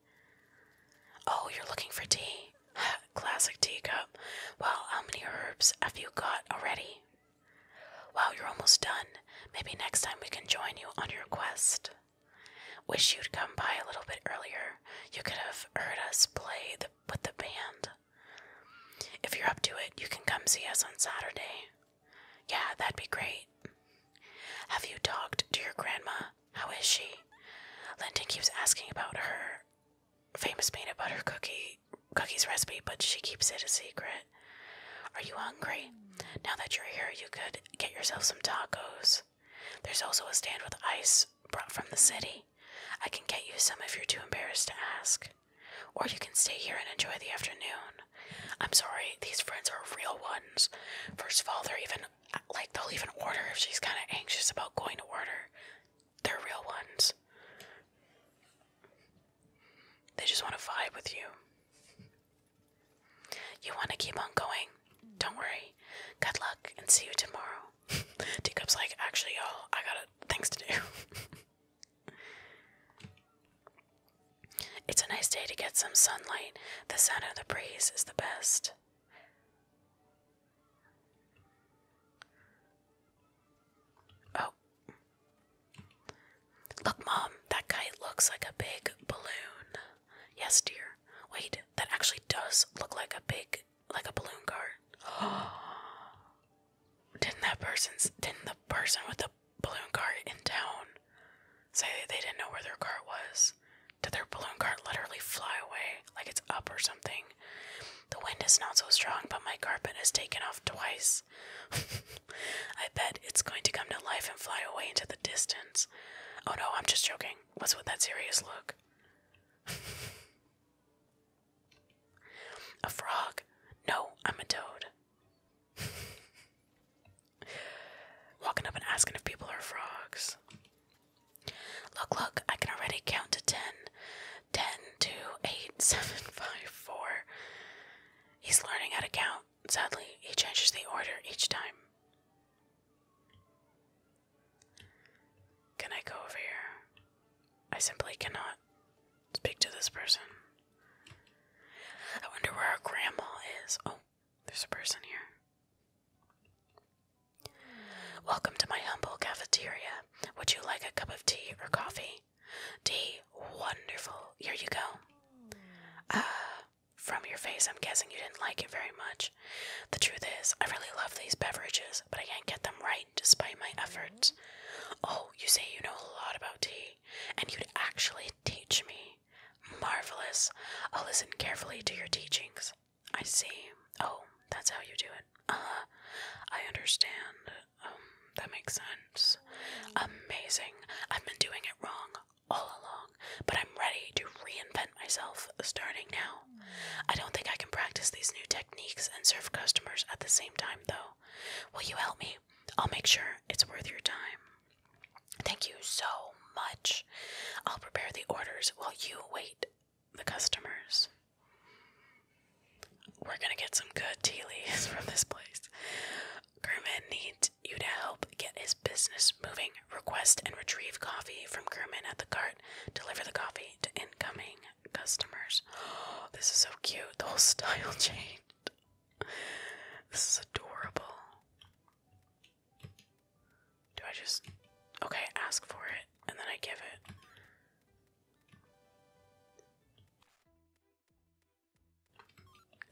Oh, you're looking for tea? Classic teacup. Well, how many herbs have you got already? Wow, you're almost done. Maybe next time we can join you on your quest. Wish you'd come by a little bit earlier. You could have heard us play with the band. If you're up to it, you can come see us on Saturday. Yeah, that'd be great. Have you talked to your grandma? How is she? Linton keeps asking about her famous peanut butter cookie cookies recipe, but she keeps it a secret. Are you hungry? Now that you're here, you could get yourself some tacos. There's also a stand with ice brought from the city. I can get you some if you're too embarrassed to ask. Or you can stay here and enjoy the afternoon. I'm sorry, these friends are real ones. First of all, they're even like they'll even order if she's kind of anxious about going to order. They're real ones. They just want to vibe with you. You want to keep on going don't worry. Good luck and see you tomorrow. Teacup's like, actually, y'all, I got things to do. it's a nice day to get some sunlight. The sound of the breeze is the best. Oh. Look, Mom, that kite looks like a big balloon. Yes, dear. Wait, that actually does look like a big, like a balloon cart. didn't that person's, didn't the person with the balloon cart in town say they didn't know where their cart was? Did their balloon cart literally fly away, like it's up or something? The wind is not so strong, but my carpet has taken off twice. I bet it's going to come to life and fly away into the distance. Oh no, I'm just joking. What's with that serious look? a frog? No, I'm a toad. Walking up and asking if people are frogs. Look, look, I can already count to ten. Ten, two, eight, seven, five, four. He's learning how to count. Sadly, he changes the order each time. Can I go over here? I simply cannot speak to this person. I wonder where our grandma is. Oh, there's a person here. Welcome to my humble cafeteria. Would you like a cup of tea or coffee? Tea, wonderful. Here you go. Ah, from your face, I'm guessing you didn't like it very much. The truth is, I really love these beverages, but I can't get them right despite my efforts. Oh, you say you know a lot about tea, and you'd actually teach me. Marvelous. I'll oh, listen carefully to your teachings. I see. Oh, that's how you do it. Uh, I understand. Um, that makes sense. Amazing. I've been doing it wrong all along but I'm ready to reinvent myself starting now. I don't think I can practice these new techniques and serve customers at the same time, though. Will you help me? I'll make sure it's worth your time. Thank you so much. I'll prepare the orders while you wait the customers. We're gonna get some good tea leaves from this place. Kermit needs you to help get his business moving. Request and retrieve coffee from crewmen at the cart. Deliver the coffee to incoming customers. this is so cute. The whole style changed. This is adorable. Do I just. Okay, ask for it and then I give it.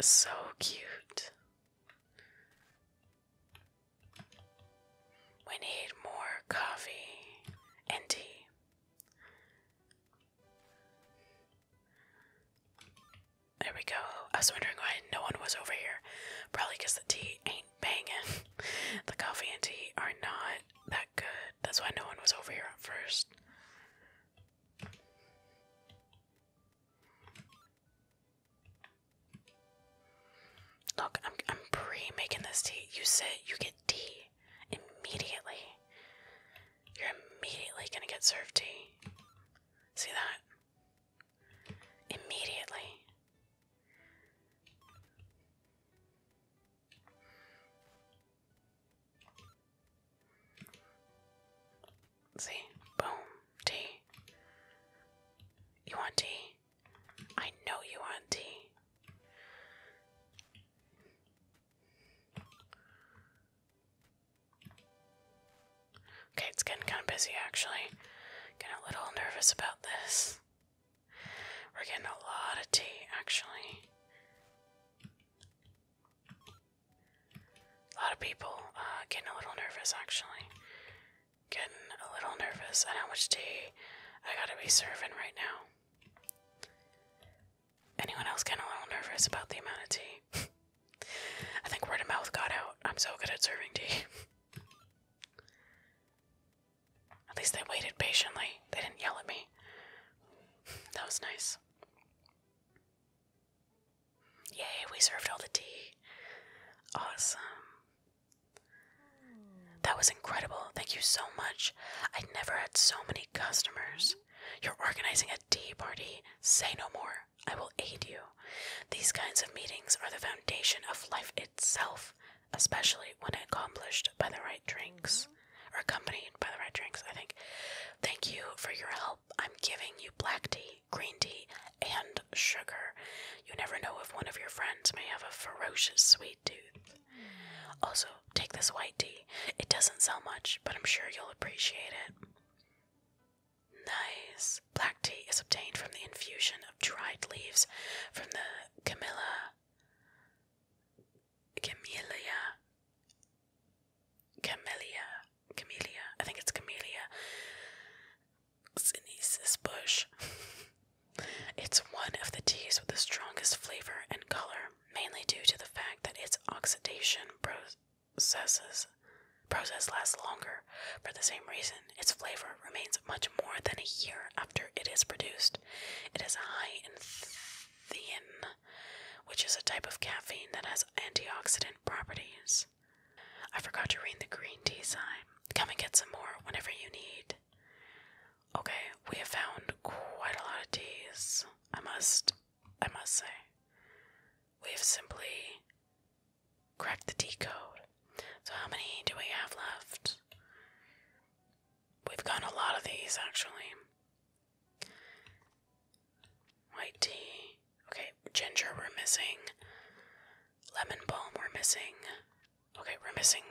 So cute. We need more coffee and tea. There we go. I was wondering why no one was over here. Probably because the tea ain't banging. the coffee and tea are not that good. That's why no one was over here at first. Look, I'm pre-making this tea. You sit, you get tea immediately. You're immediately gonna get served tea. See that? Immediately. See? Boom. Tea. You want tea? I know you, Auntie. Okay, it's getting kind of busy actually. Getting a little nervous about this. We're getting a lot of tea actually. A lot of people uh, getting a little nervous actually. Getting a little nervous and how much tea I gotta be serving right now. Anyone else getting a little nervous about the amount of tea? I think word of mouth got out. I'm so good at serving tea. at least they waited patiently, they didn't yell at me. That was nice. Yay, we served all the tea. Awesome. That was incredible. Thank you so much. I never had so many customers. You're organizing a tea party. Say no more. I will aid you. These kinds of meetings are the foundation of life itself, especially when accomplished by the right drinks or accompanied by the right drinks, I think. Thank you for your help. I'm giving you black tea, green tea, and sugar. You never know if one of your friends may have a ferocious sweet tooth. Also, take this white tea. It doesn't sell much, but I'm sure you'll appreciate it. Nice. Black tea is obtained from the infusion of dried leaves from the Camilla. camelia, camelia, Camellia. I think it's camelia. Sinise bush. it's one of the teas with the strongest flavor and color, mainly due to the fact that its oxidation processes process lasts longer. For the same reason, its flavor remains much more than a year after it is produced. It is high in thein, which is a type of caffeine that has antioxidant properties. I forgot to read the green tea sign come and get some more whenever you need. Okay, we have found quite a lot of teas. I must, I must say, we have simply cracked the tea code. So how many do we have left? We've got a lot of these actually. White tea. Okay, ginger we're missing. Lemon balm we're missing. Okay, we're missing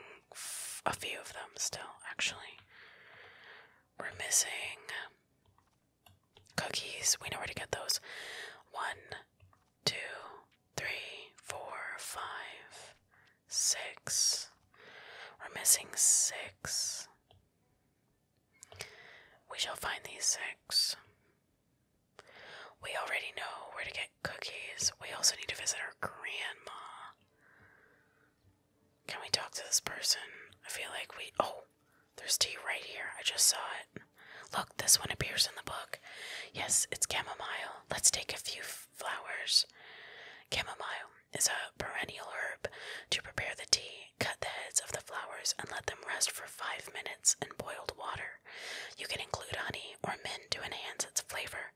a few of them still, actually. We're missing cookies. We know where to get those. One, two, three, four, five, six. We're missing six. We shall find these six. We already know where to get cookies. We also need to visit our grandma. Can we talk to this person? I feel like we. Oh, there's tea right here. I just saw it. Look, this one appears in the book. Yes, it's chamomile. Let's take a few flowers. Chamomile is a perennial herb. To prepare the tea, cut the heads of the flowers and let them rest for five minutes in boiled water. You can include honey or mint to enhance its flavor.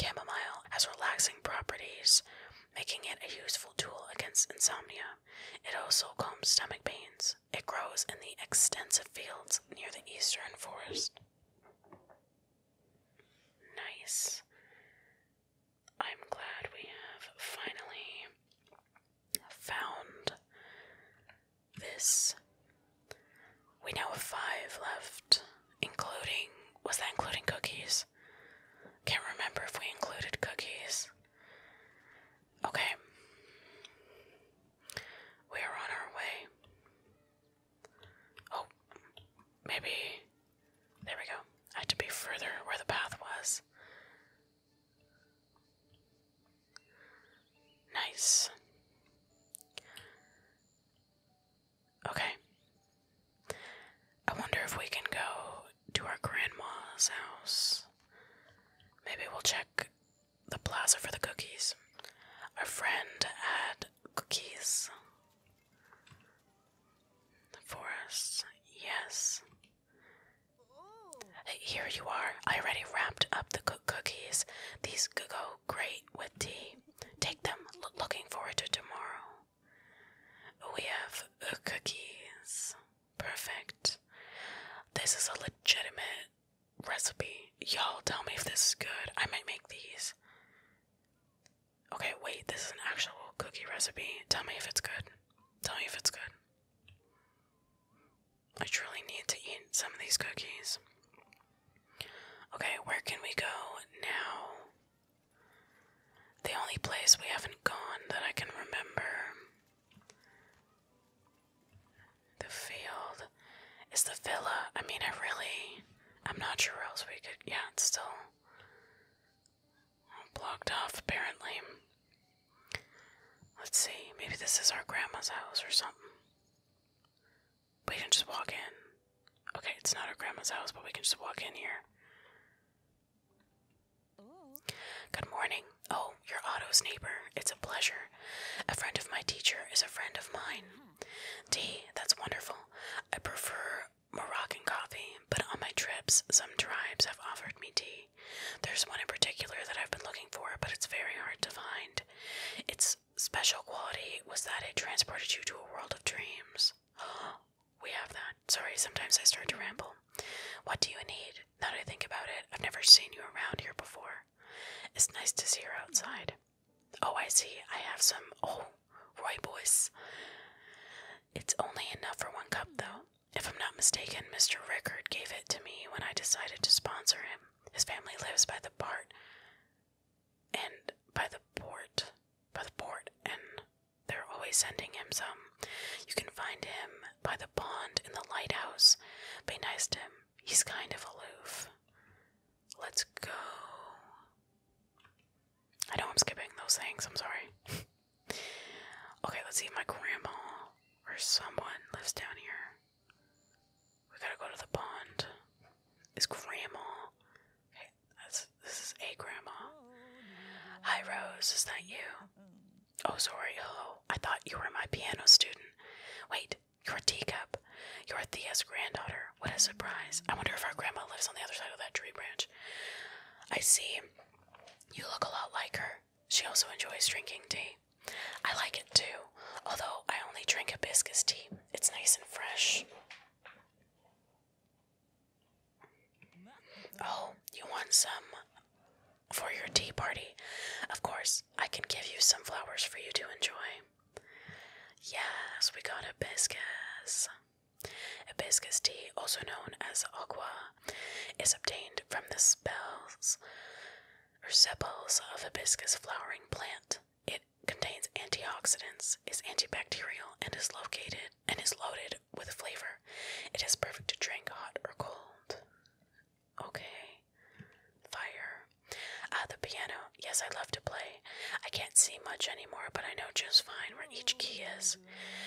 Chamomile has relaxing properties, making it a useful tool against insomnia. It also calms stomach pains. It grows in the extensive fields near the eastern forest. Nice. I'm glad we have finally found this. We now have five left, including. Was that including cookies? Can't remember if we included cookies. Okay. We are on our way. Oh, maybe. There we go. had to be further where the path was. Nice. Okay. I wonder if we can go to our grandma's house. Maybe we'll check the plaza for the cookies. Our friend had cookies for us. Yes. Here you are. I already wrapped up the cookies. These go great with tea. Take them. looking forward to tomorrow. We have cookies. Perfect. This is a legitimate recipe. Y'all tell me if this is good. I might make these. Okay, wait, this is an actual cookie recipe. Tell me if it's good. Tell me if it's good. I truly need to eat some of these cookies. Okay, where can we go now? The only place we haven't gone that I can remember. The field is the villa. I mean, I really. I'm not sure where else we could. Yeah, it's still blocked off, apparently. Let's see. Maybe this is our grandma's house or something. We can just walk in. Okay, it's not our grandma's house, but we can just walk in here. Good morning. Oh, you're Otto's neighbor. It's a pleasure. A friend of my teacher is a friend of mine. Tea, that's wonderful. I prefer Moroccan coffee, but on my trips, some tribes have offered me tea. There's one in particular that I've been looking for, but it's very hard to find. It's special quality was that it transported you to a world of dreams. we have that. Sorry, sometimes I start to ramble. What do you need? Now that I think about it, I've never seen you around here before. It's nice to see you outside. Oh, I see. I have some. Oh, boys. It's only enough for one cup, though. If I'm not mistaken, Mr. Rickard gave it to me when I decided to sponsor him. His family lives by the Bart and by the port, by the port, and they're always sending him some. You can find him by the pond in the lighthouse. Be nice to him. He's kind of aloof. Let's go. I know I'm skipping those things. I'm sorry. okay, let's see if my grandma or someone lives down here. We gotta go to the pond. Is Grandma? Hey, this is a Grandma. Hi, Rose. Is that you? Oh, sorry. Hello. I thought you were my piano student. Wait, you're a teacup. You're Thea's granddaughter. What a surprise. I wonder if our grandma lives on the other side of that tree branch. I see. You look a lot like her. She also enjoys drinking tea. I like it too, although I only drink hibiscus tea. It's nice and fresh. Oh, you want some for your tea party? Of course, I can give you some flowers for you to enjoy. Yes, we got hibiscus. Hibiscus tea, also known as aqua, is obtained from the spels or sepals of hibiscus flowering plant. It contains antioxidants, is antibacterial, and is located and is loaded with flavor. It is perfect to drink hot or cold. Okay. Fire. Uh, the piano. Yes, I love to play. I can't see much anymore, but I know just fine where each key is.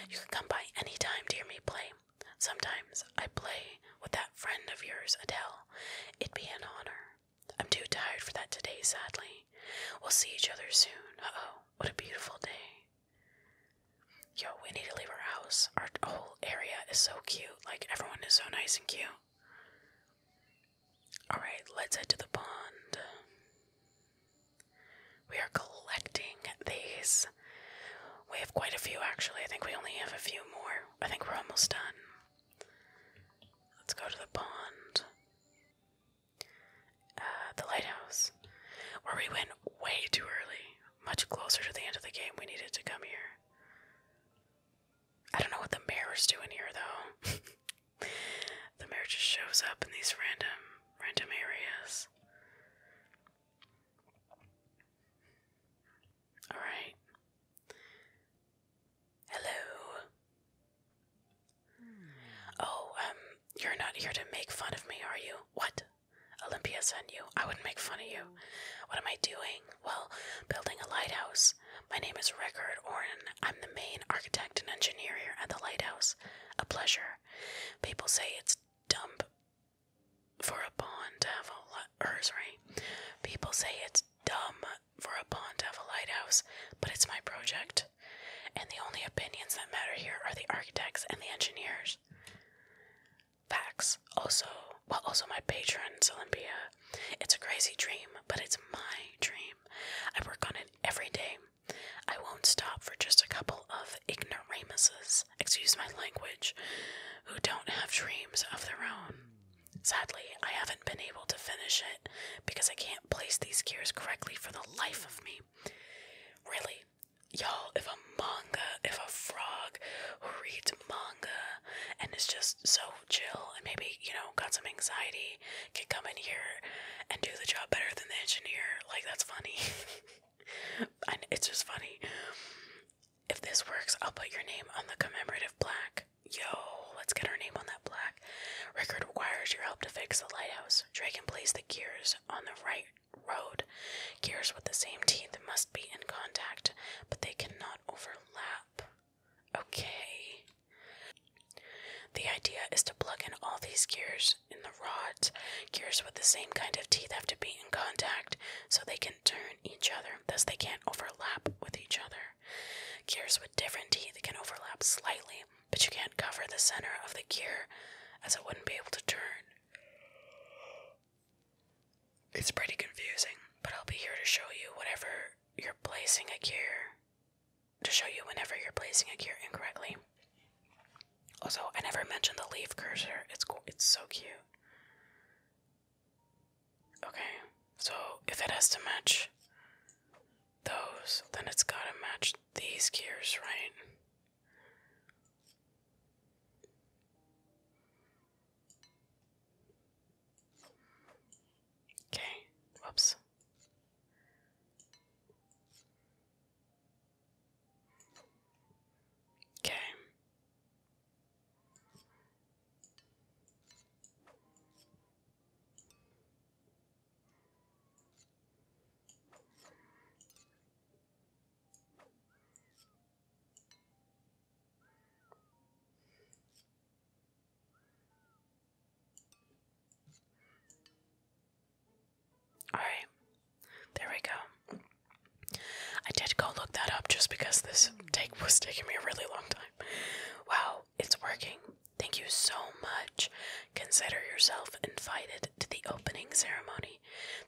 You can come by any time to hear me play. Sometimes I play with that friend of yours, Adele. It'd be an honor. I'm too tired for that today, sadly. We'll see each other soon. oh, what a beautiful day. Yo, we need to leave our house. Our whole area is so cute. Like, everyone is so nice and cute. Alright, let's head to the pond. We are collecting these. We have quite a few, actually. I think we only have a few more. I think we're almost done. Let's go to the pond. Uh, the lighthouse, where we went way too early, much closer to the end of the game. We needed to come here. I don't know what the is doing here, though. the mayor just shows up in these random, random areas. All right. Hello. Oh, um, you're not here to make fun of me, are you? What? Olympias sent you. I wouldn't make fun of you. What am I doing? Well, building a lighthouse. My name is Record Orin. I'm the main architect and engineer here at the lighthouse. A pleasure. People say it's dumb for a pawn to have a li- or People say it's dumb for a pond to have a lighthouse, but it's my project. And the only opinions that matter here are the architects and the engineers. Facts. Also, well, also my patrons, Olympia. It's a crazy dream, but it's my dream. I work on it every day. I won't stop for just a couple of ignoramuses, excuse my language, who don't have dreams of their own. Sadly, I haven't been able to finish it because I can't place these gears correctly for the life of me. Really, y'all, if a manga, if a frog who reads manga and is just so chill and maybe, you know, got some anxiety can come in here and do the job better than the engineer, like that's funny. and it's just funny. If this works, I'll put your name on the commemorative plaque. Yo, let's get our name on that plaque. Rickard requires your help to fix the lighthouse. Draken plays the gears on the right road. Gears with the same teeth must be in contact, but they cannot overlap. Okay. The idea is to plug in all these gears in the rods. Gears with the same kind of teeth have to be in contact so they can turn each other thus they can't overlap with each other. Gears with different teeth can overlap slightly, but you can't cover the center of the gear as it wouldn't be able to turn. It's pretty confusing, but I'll be here to show you Whenever you're placing a gear. To show you whenever you're placing a gear incorrectly. Also, I never mentioned the leaf cursor. It's It's so cute. Okay, so if it has to match those, then it's gotta match these gears, right? Okay, whoops. Okay. Alright, there we go. I did go look that up just because this take was taking me a really long time. Wow, it's working. Thank you so much. Consider yourself invited to the opening ceremony.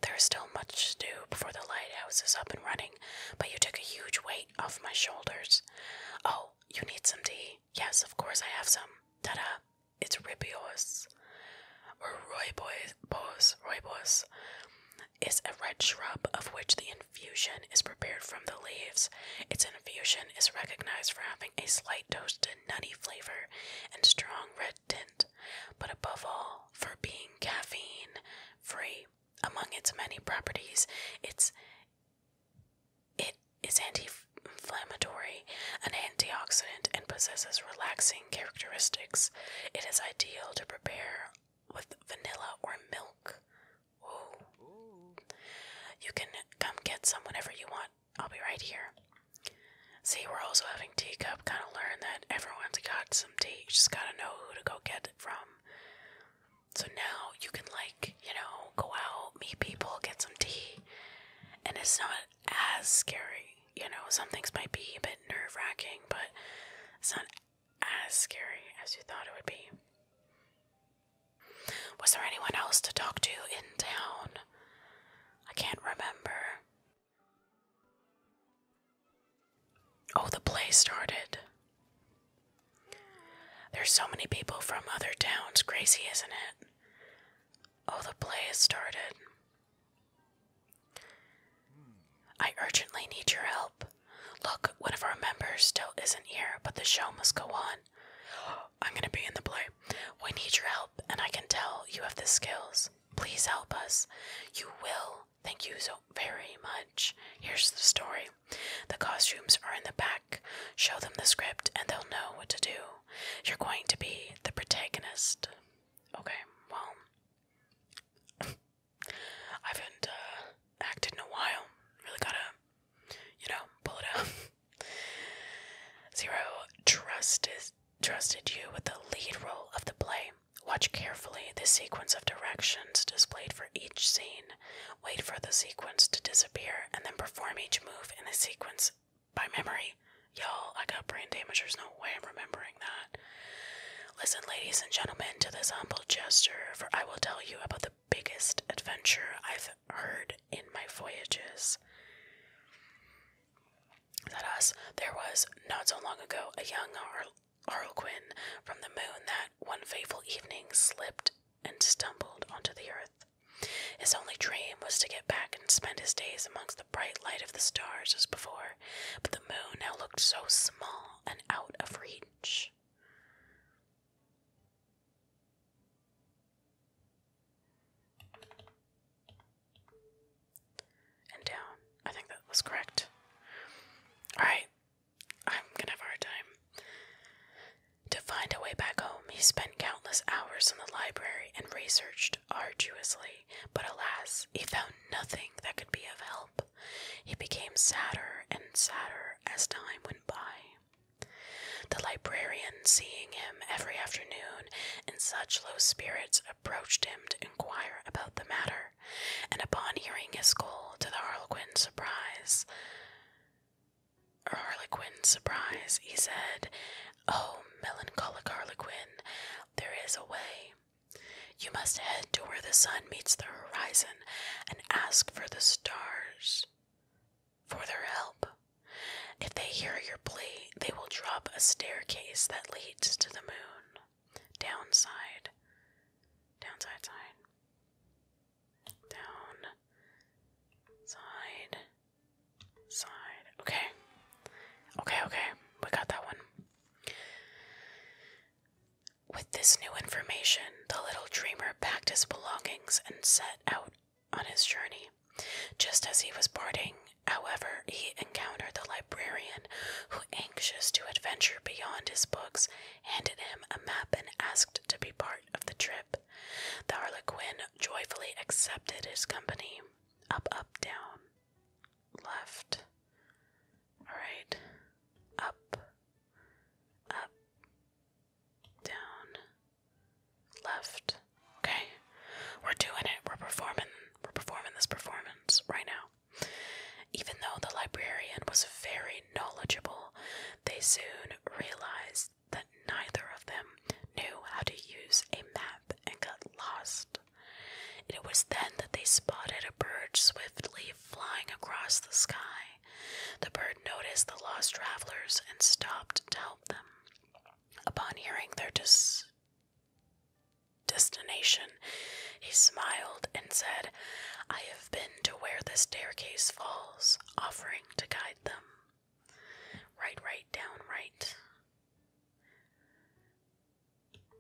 There is still much to do before the lighthouse is up and running, but you took a huge weight off my shoulders. Oh, you need some tea? Yes, of course I have some. Ta It's ribios, or roibos, roibos, is a red shrub of which the infusion is prepared from the leaves. Its infusion is recognized for having a slight toasted nutty flavor and strong red tint, but above all, for being caffeine free. Among its many properties, it's it is anti-inflammatory, an antioxidant, and possesses relaxing characteristics. It is ideal to prepare with vanilla or milk. Ooh. You can come get some whenever you want. I'll be right here. See, we're also having teacup. Kind of learned that everyone's got some tea. You just gotta know who to go get it from. So now you can, like, you know, go out, meet people, get some tea. And it's not as scary. You know, some things might be a bit nerve wracking, but it's not as scary as you thought it would be. Was there anyone else to talk to in town? I can't remember. Oh, the play started. There's so many people from other towns. Crazy, isn't it? Oh, the play has started. I urgently need your help. Look, one of our members still isn't here, but the show must go on. I'm gonna be in the play. We need your help, and I can tell you have the skills. Please help us. You will. Thank you so very much. Here's the story. The costumes are in the back. Show them the script and they'll know what to do. You're going to be the protagonist. Okay, well, I haven't uh, acted in a while. Really gotta you know, pull Zero trusted trusted you with the lead role of the play. Watch carefully the sequence of directions displayed for each scene. Wait for the sequence to disappear and then perform each move in the sequence by memory. Y'all, I got brain damage. There's no way I'm remembering that. Listen, ladies and gentlemen, to this humble gesture, for I will tell you about the biggest adventure I've heard in my voyages. That us, there was not so long ago a young har harlequin from the moon that one fateful evening slipped and stumbled onto the earth. His only dream was to get back and spend his days amongst the bright light of the stars as before, but the moon now looked so small and out of reach. And down. I think that was correct. Alright. I'm gonna have hard time. To find a way back home, he spent countless hours in the library and researched arduously, but alas, he found nothing that could be of help. He became sadder and sadder as time went by. The librarian, seeing him every afternoon in such low spirits, approached him to inquire about the matter, and upon hearing his call to the Harlequin's surprise, Harlequin's surprise, he said, "Oh, melancholic Harlequin, there is a way. You must head to where the sun meets the horizon, and ask for the stars." for their help. If they hear your plea, they will drop a staircase that leads to the moon. Downside. Downside side. Down. Side. Side. Okay. Okay, okay. We got that one. With this new information, the little dreamer packed his belongings and set out on his journey. Just as he was boarding, however, he encountered the librarian, who, anxious to adventure beyond his books, handed him a map and asked to be part of the trip. The harlequin joyfully accepted his company. Up, up, down, left, right, up, up, down, left. Okay, we're doing it. We're performing. We're performing this performance right now. Even though the librarian was very knowledgeable, they soon realized that neither of them knew how to use a map and got lost. It was then that they spotted a bird swiftly flying across the sky. The bird noticed the lost travelers and stopped to help them. Upon hearing their destination, he smiled and said, I have been to where the staircase falls, offering to guide them. Right, right, down, right.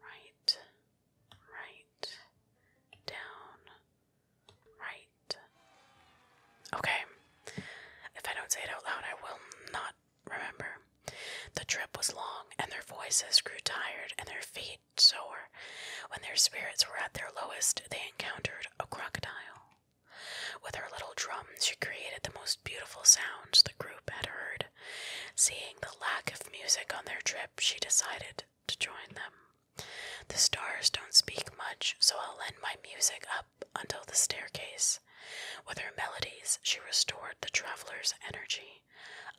Right, right, down, Right. Okay. If I don't say it out loud, I will not remember. The trip was long, and their voices grew tired and their feet sore. When their spirits were at their lowest, they encountered a crocodile. With her little drum, she created the most beautiful sounds the group had heard. Seeing the lack of music on their trip, she decided to join them. The stars don't speak much, so I'll lend my music up until the staircase. With her melodies, she restored the traveler's energy.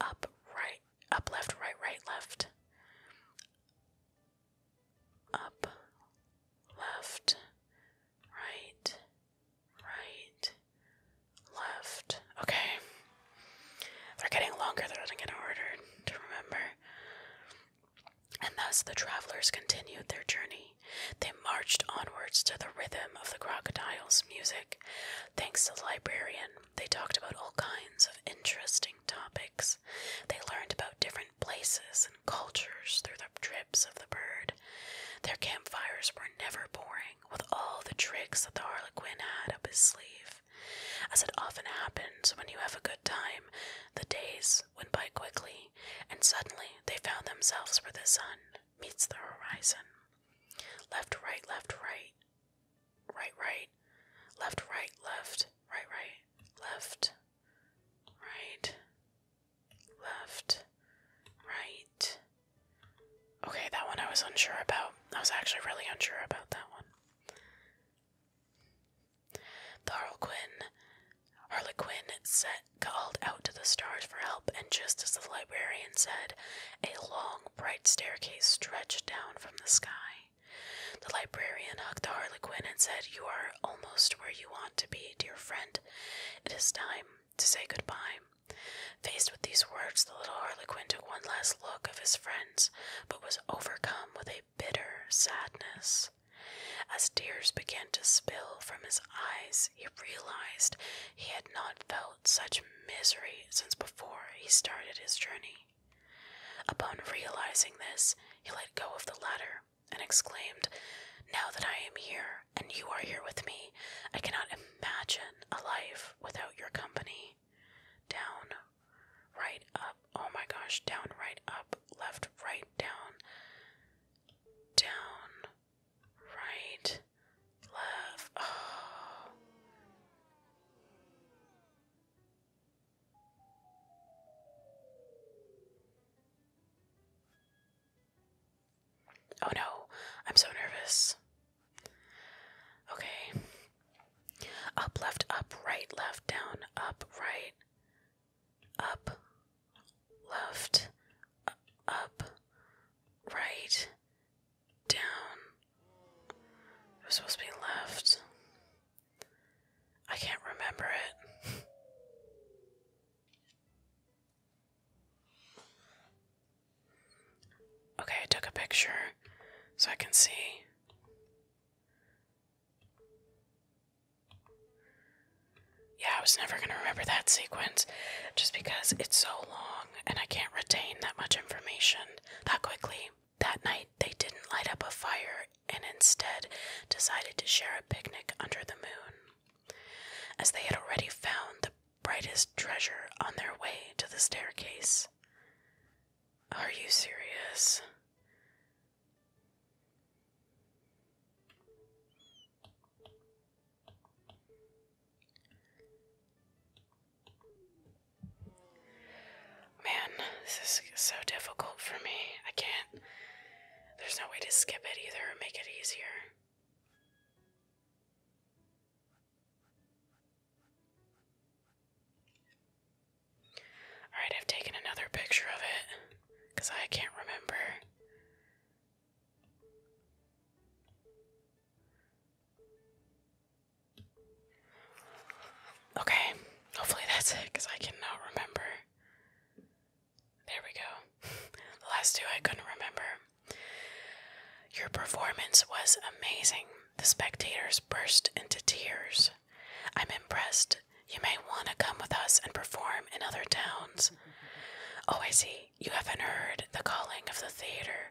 Up, right, up, left, right, right, left. Up, left, right, right, left. Okay. They're getting longer, they're getting harder to remember. And thus the travelers continued their journey. They marched onwards to the rhythm of the crocodile's music. Thanks to the librarian, they talked about all kinds of interesting topics. They learned about different places and cultures through the trips of the bird. Their campfires were never boring, with all the tricks that the harlequin had up his sleeve. As it often happens when you have a good time, the days went by quickly, and suddenly they found themselves where the sun meets the horizon. Left, right, left, right, right, right, left, right, left, right, right, left, right, left, right. Okay, that one I was unsure about. I was actually really unsure about that one. The Harlequin, Harlequin set, called out to the stars for help, and just as the librarian said, a long, bright staircase stretched down from the sky. The librarian hugged the Harlequin and said, You are almost where you want to be, dear friend. It is time to say goodbye. Faced with these words, the little Harlequin took one last look of his friends, but was overcome with a bitter sadness. As tears began to spill from his eyes, he realized he had not felt such misery since before he started his journey. Upon realizing this, he let go of the ladder and exclaimed, Now that I am here and you are here with me, I cannot imagine a life without your company. Down, right up, Oh my gosh, down, right, up, left, right, down, down, right, left. Oh. Oh no, I'm so nervous. Okay. Up, left, up, right, left, down, up, right, up, left, up, right, down. It was supposed to be left. I can't remember it. okay, I took a picture so I can see. Yeah, I was never going to remember that sequence just because it's so long and I can't retain that much information that quickly. That night, they didn't light up a fire and instead decided to share a picnic under the moon, as they had already found the brightest treasure on their way to the staircase. Are you serious? Man, this is so difficult for me. I can't. There's no way to skip it either or make it easier. Alright, I've taken another picture of it because I can't remember. Okay, hopefully that's it because I cannot remember. There we go. the last two I couldn't remember. Your performance was amazing. The spectators burst into tears. I'm impressed. You may want to come with us and perform in other towns. Oh, I see. You haven't heard the calling of the theater.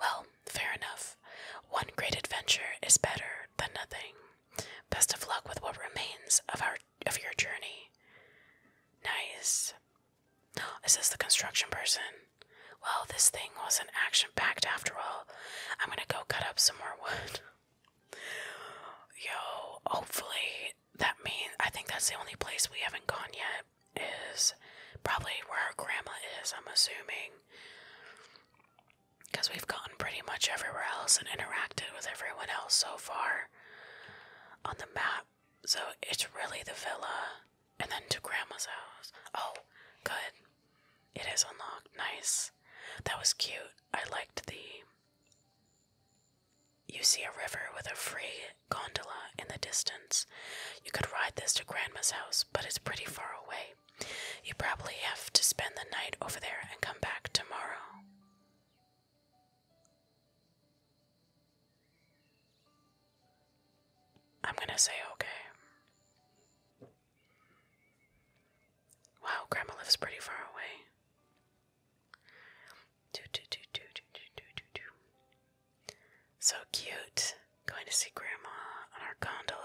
Well, fair enough. One great adventure is better than nothing. Best of luck with what remains of our of your journey. Nice. Is this the construction person? Well, this thing was an action packed after all. I'm gonna go cut up some more wood. Yo, hopefully that means I think that's the only place we haven't gone yet is probably where our grandma is, I'm assuming. Because we've gone pretty much everywhere else and interacted with everyone else so far on the map. So it's really the villa and then to grandma's house. Oh, good. It is unlocked. Nice. That was cute. I liked the you see a river with a free gondola in the distance. You could ride this to Grandma's house, but it's pretty far away. You probably have to spend the night over there and come back tomorrow. I'm gonna say okay. Wow, Grandma lives pretty far away. So cute. Going to see Grandma on our gondola.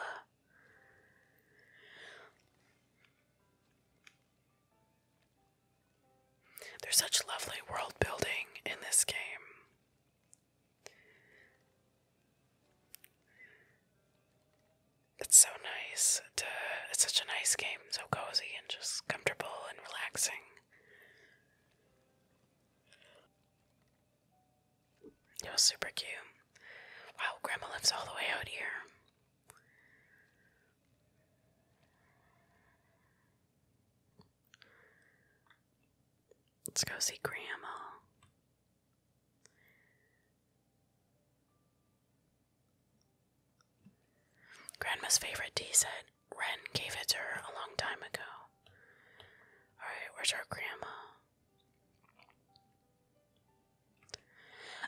There's such lovely world building in this game it's so nice. To, it's such a nice game, so cozy and just comfortable and relaxing. It was super cute. Wow, Grandma lives all the way out here. Let's go see Grandma. Grandma's favorite tea set. Ren gave it to her a long time ago. Alright, where's our grandma?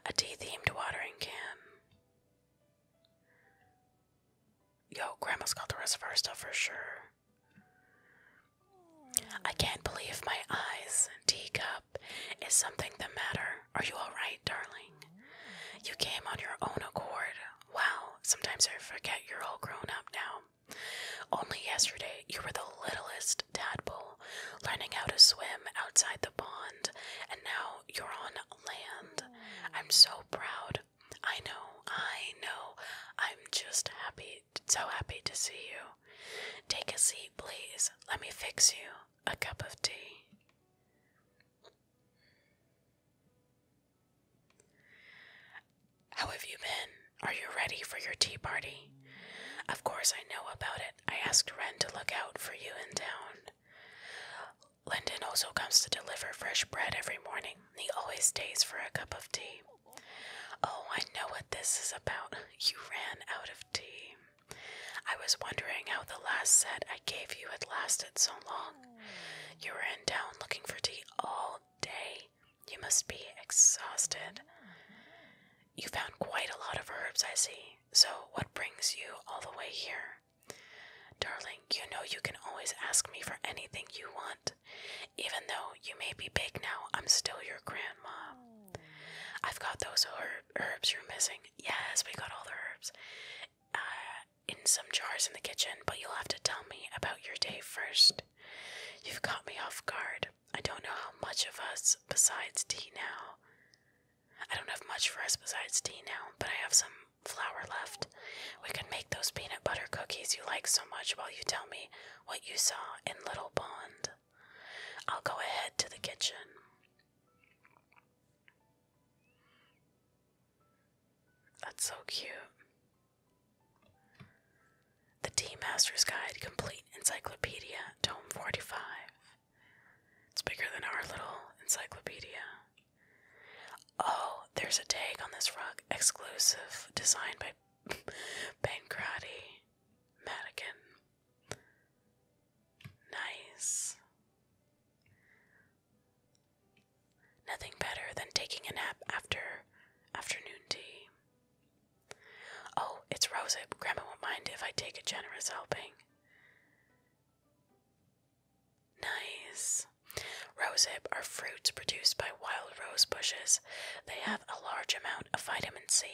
A tea themed watering can. Yo, grandma's got the rest of our stuff for sure. I can't believe my eyes. Teacup. Is something the matter? Are you alright? darling. You came on your own accord. Wow, sometimes I forget you're all grown up now. Only yesterday you were the littlest tadpole, learning how to swim outside the pond, and now you're on land. I'm so proud. I know, I know. I'm just happy, so happy to see you. Take a seat, please. Let me fix you a cup of tea. How have you been? Are you ready for your tea party? Of course, I know about it. I asked Ren to look out for you in town. Linden also comes to deliver fresh bread every morning. He always stays for a cup of tea. Oh, I know what this is about. You ran out of tea. I was wondering how the last set I gave you had lasted so long. You were in town looking for tea all day. You must be exhausted. You found quite a lot of herbs, I see. So, what brings you all the way here? Darling, you know you can always ask me for anything you want. Even though you may be big now, I'm still your grandma. I've got those herbs herbs you're missing? Yes, we got all the herbs uh, in some jars in the kitchen, but you'll have to tell me about your day first. You've caught me off guard. I don't know how much of us besides tea now. I don't have much for us besides tea now, but I have some flour left. We can make those peanut butter cookies you like so much while you tell me what you saw in Little Pond. I'll go ahead to the kitchen. That's so cute. The Tea Master's Guide Complete Encyclopedia, Tome 45. It's bigger than our little encyclopedia. Oh, there's a tag on this rug, exclusive, designed by Pancrati Madigan. Nice. Nothing better than taking a nap after afternoon tea. Oh, it's Rosip. Grandma won't mind if I take a generous helping. Nice. Rosehip are fruits produced by wild rose bushes. They have a large amount of vitamin C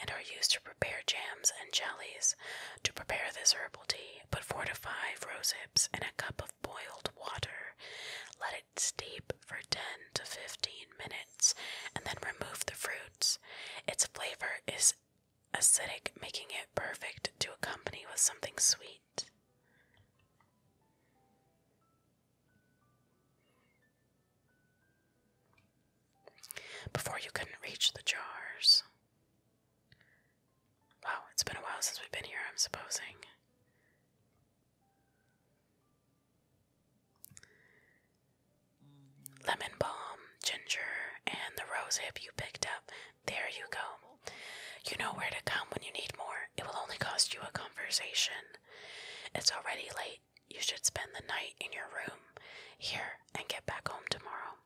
and are used to prepare jams and jellies. To prepare this herbal tea, put four to five rose hips in a cup of boiled water. Let it steep for 10 to 15 minutes and then remove the fruits. Its flavor is acidic, making it perfect to accompany with something sweet. Before you couldn't reach the jars. Wow, it's been a while since we've been here, I'm supposing. Lemon balm, ginger, and the rose hip you picked up. There you go. You know where to come when you need more. It will only cost you a conversation. It's already late. You should spend the night in your room here and get back home tomorrow.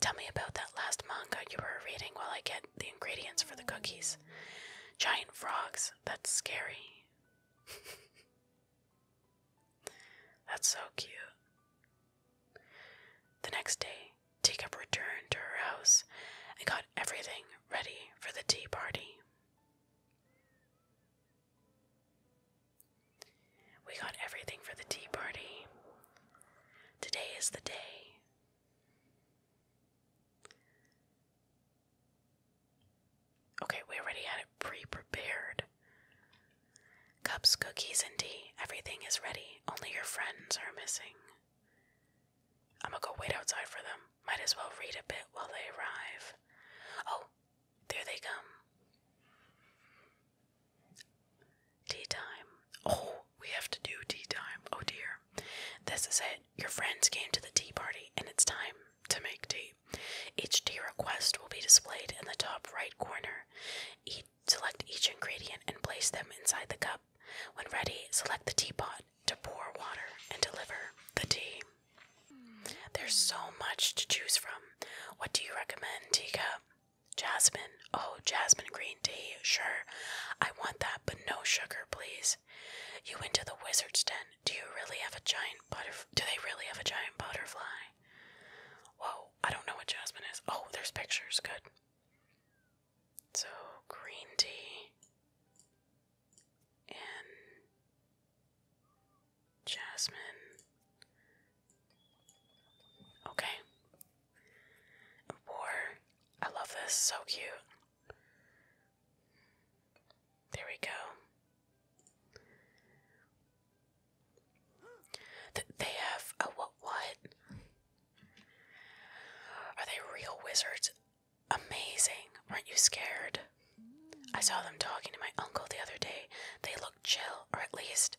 Tell me about that last manga you were reading while I get the ingredients for the cookies. Giant frogs, that's scary. that's so cute. The next day, Teacup returned to her house and got everything ready for the tea party. We got everything for the tea party. Today is the day. Okay, we already had it pre prepared. Cups, cookies, and tea. Everything is ready. Only your friends are missing. I'm gonna go wait outside for them. Might as well read a bit while they arrive. Oh, there they come. Tea time. Oh, we have to do tea time. Oh dear. This is it. Your friends came to the tea party and it's time to make tea. Each tea request will be displayed in the top right corner. select each ingredient and place them inside the cup. When ready, select the teapot to pour water and deliver the tea. There's so much to choose from. What do you recommend, teacup? Jasmine. Oh, jasmine green tea. Sure. I want that, but no sugar, please. You went to the wizard's den. Do you really have a giant butterfly? Do they really have a giant butterfly? Whoa, I don't know what jasmine is. Oh, there's pictures. Good. So, green tea and jasmine Okay. War. I love this. So cute. There we go. Th they have a what? What? Are they real wizards? Amazing. Weren't you scared? I saw them talking to my uncle the other day. They look chill, or at least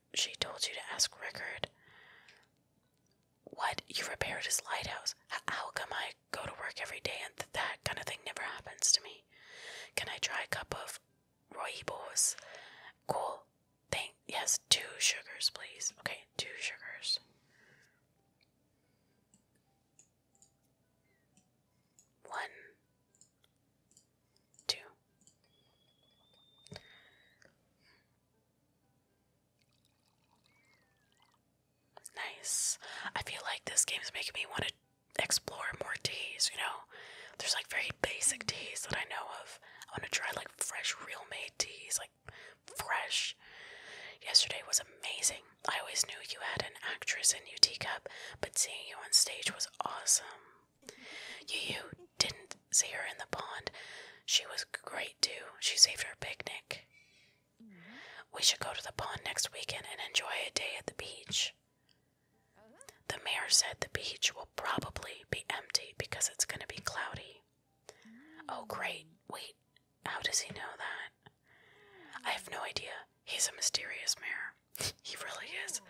she told you to ask Rickard. What? You repaired his lighthouse? how come I go to work every day and that kind of thing never happens to me? Can I try a cup of roibos? Cool. Thank. Yes, two sugars, please. Okay, two sugars. One Two. Nice. I feel like this game is making me want to explore more teas, you know? There's like very basic teas that I know of. I want to try like fresh, real made teas, like fresh. Yesterday was amazing. I always knew you had an actress in you, Teacup, but seeing you on stage was awesome. You Yu didn't see her in the pond. She was great too. She saved our picnic. We should go to the pond next weekend and enjoy a day at the beach. The mayor said the beach will probably be empty because it's going to be cloudy. Oh, great. Wait, how does he know that? I have no idea. He's a mysterious mayor he really is.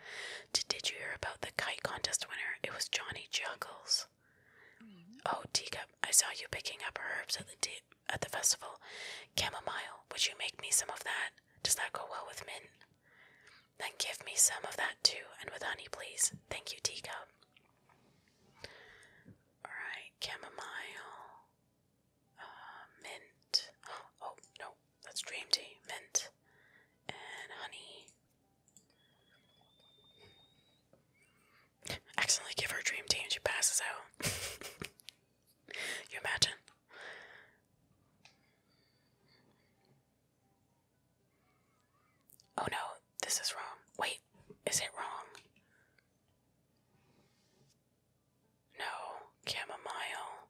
Did, you hear about the kite contest winner? It was Johnny Juggles. Oh, Teacup, I saw you picking up herbs at the at the festival. Chamomile, would you make me some of that? Does that go well with mint? Then give me some of that too, and with honey, please. Thank you, Teacup. Alright, chamomile, uh, mint. Oh, no, that's dream tea. Mint and honey. Accidentally give her a dream team, she passes out. you imagine? Oh no, this is wrong. Wait, is it wrong? No, chamomile,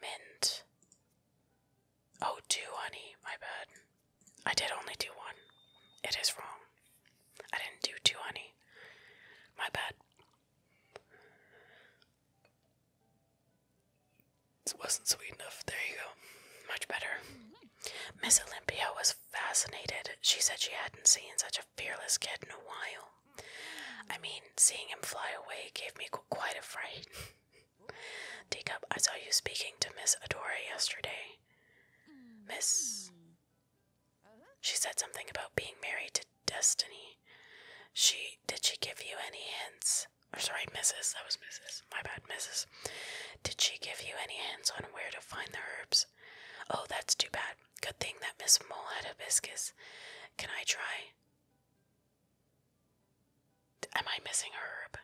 mint, Oh, two, honey. My bad. I did only do one. It is wrong. I didn't do two, honey. My bad. It wasn't sweet enough. There you go. Much better. Miss Olympia was fascinated. She said she hadn't seen such a fearless kid in a while. I mean, seeing him fly away gave me quite a fright. Teacup, I saw you speaking to Miss Adore yesterday. Miss. She said something about being married to Destiny. She. Did she give you any hints? Or sorry, Mrs. That was Mrs. My bad, Mrs. Did she give you any hints on where to find the herbs? Oh, that's too bad. Good thing that Miss Mole had hibiscus. Can I try? Am I missing herb?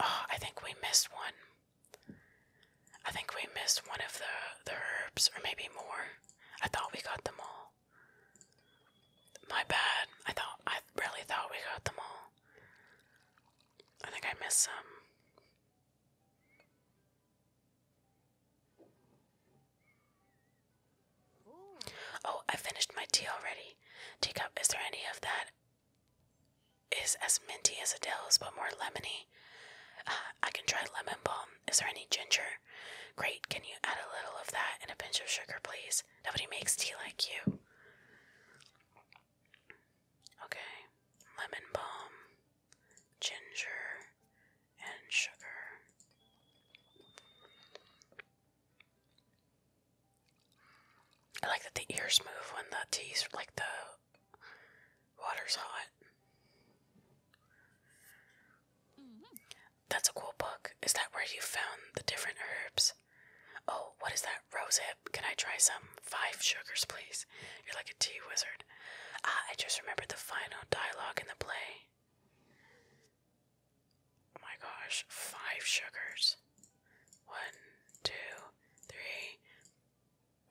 Oh, I think we missed one. I think we missed one of the the herbs, or maybe more. I thought we got them all. My bad. I thought I really thought we got them all. I think I missed some. Oh, I finished my tea already. Teacup, is there any of that? Is as minty as Adele's, but more lemony. Ah, I can try lemon balm. Is there any ginger? Great. Can you add a little of that and a pinch of sugar, please? Nobody makes tea like you. Okay, lemon balm, ginger, and sugar. I like that the ears move when the tea's like the water's hot. That's a cool book. Is that where you found the different herbs? Oh, what is that Rosehip, can I try some? Five sugars, please. You're like a tea wizard. Ah, I just remembered the final dialogue in the play. Oh my gosh, five sugars. One, two, three.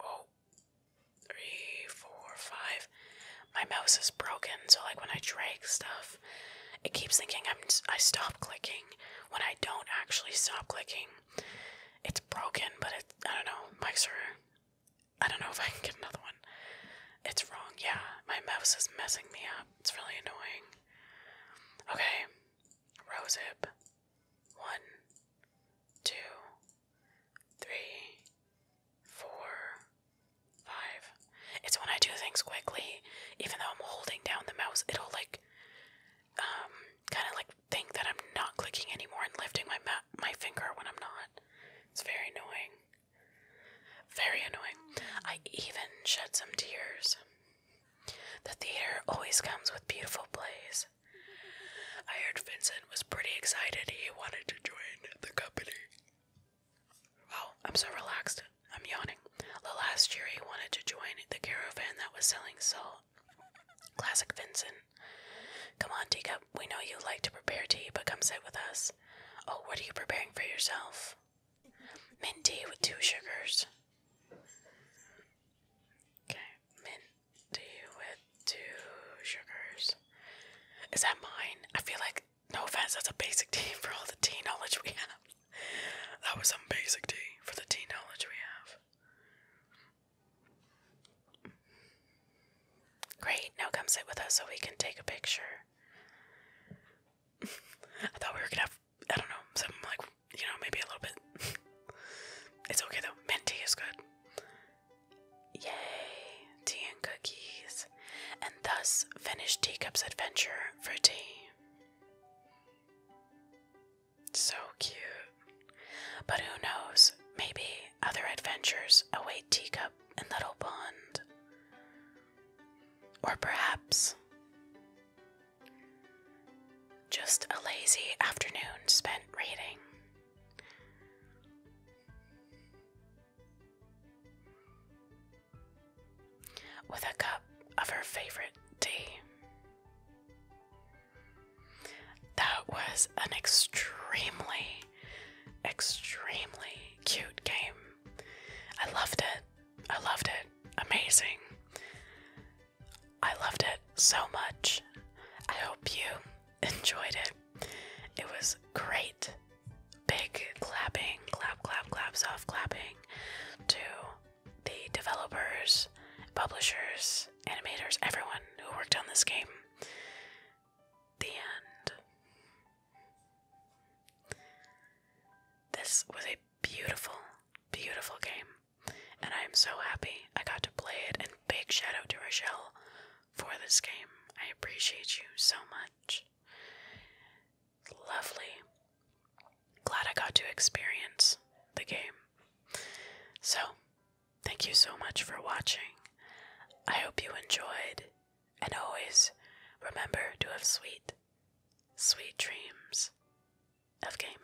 Oh, three, four, five. My mouse is broken, so like when I drag stuff, it keeps thinking I'm I stop clicking when I don't actually stop clicking it's broken, but it I don't know. Mics are I don't know if I can get another one. It's wrong. Yeah, my mouse is messing me up. It's really annoying. Okay. Rosehip. One, two, three, four, five. It's when I do things quickly, even though I'm holding down the mouse, it'll like um, kind of like think that I'm not clicking anymore and lifting my my finger when I'm not. It's very annoying. Very annoying. I even shed some tears. The theater always comes with beautiful plays. I heard Vincent was pretty excited he wanted to join the company. Oh, I'm so relaxed. I'm yawning. The Last year, he wanted to join the caravan that was selling salt classic Vincent. Come on, teacup. We know you like to prepare tea, but come sit with us. Oh, what are you preparing for yourself? Mint tea with two sugars. Okay, mint tea with two sugars. Is that mine? I feel like, no offense, that's a basic tea for all the tea knowledge we have. That was some basic tea for the tea knowledge we have. Great, now come sit with us so we can take a picture. I thought we were gonna have, I don't know, something like, you know, maybe a little bit. it's okay though, mint tea is good. Yay, tea and cookies. And thus finish Teacup's adventure for tea. So cute. But who knows? Maybe other adventures await Teacup and Little Pond. Or perhaps just a lazy afternoon spent reading. With a cup of her favorite tea. That was an extremely, extremely cute game. I loved it. I loved it. Amazing. I loved it so much. I hope you enjoyed it. It was great. Big clapping, clap, clap, clap, soft clapping to the developers, publishers, animators, everyone who worked on this game. The end. This was a beautiful, beautiful game, and I am so happy I got to play it. And big shout out to Rochelle for this game. I appreciate you so much. Lovely. Glad I got to experience the game. So, Thank you so much for watching. I hope you enjoyed, and always remember to have sweet, sweet dreams of gaming.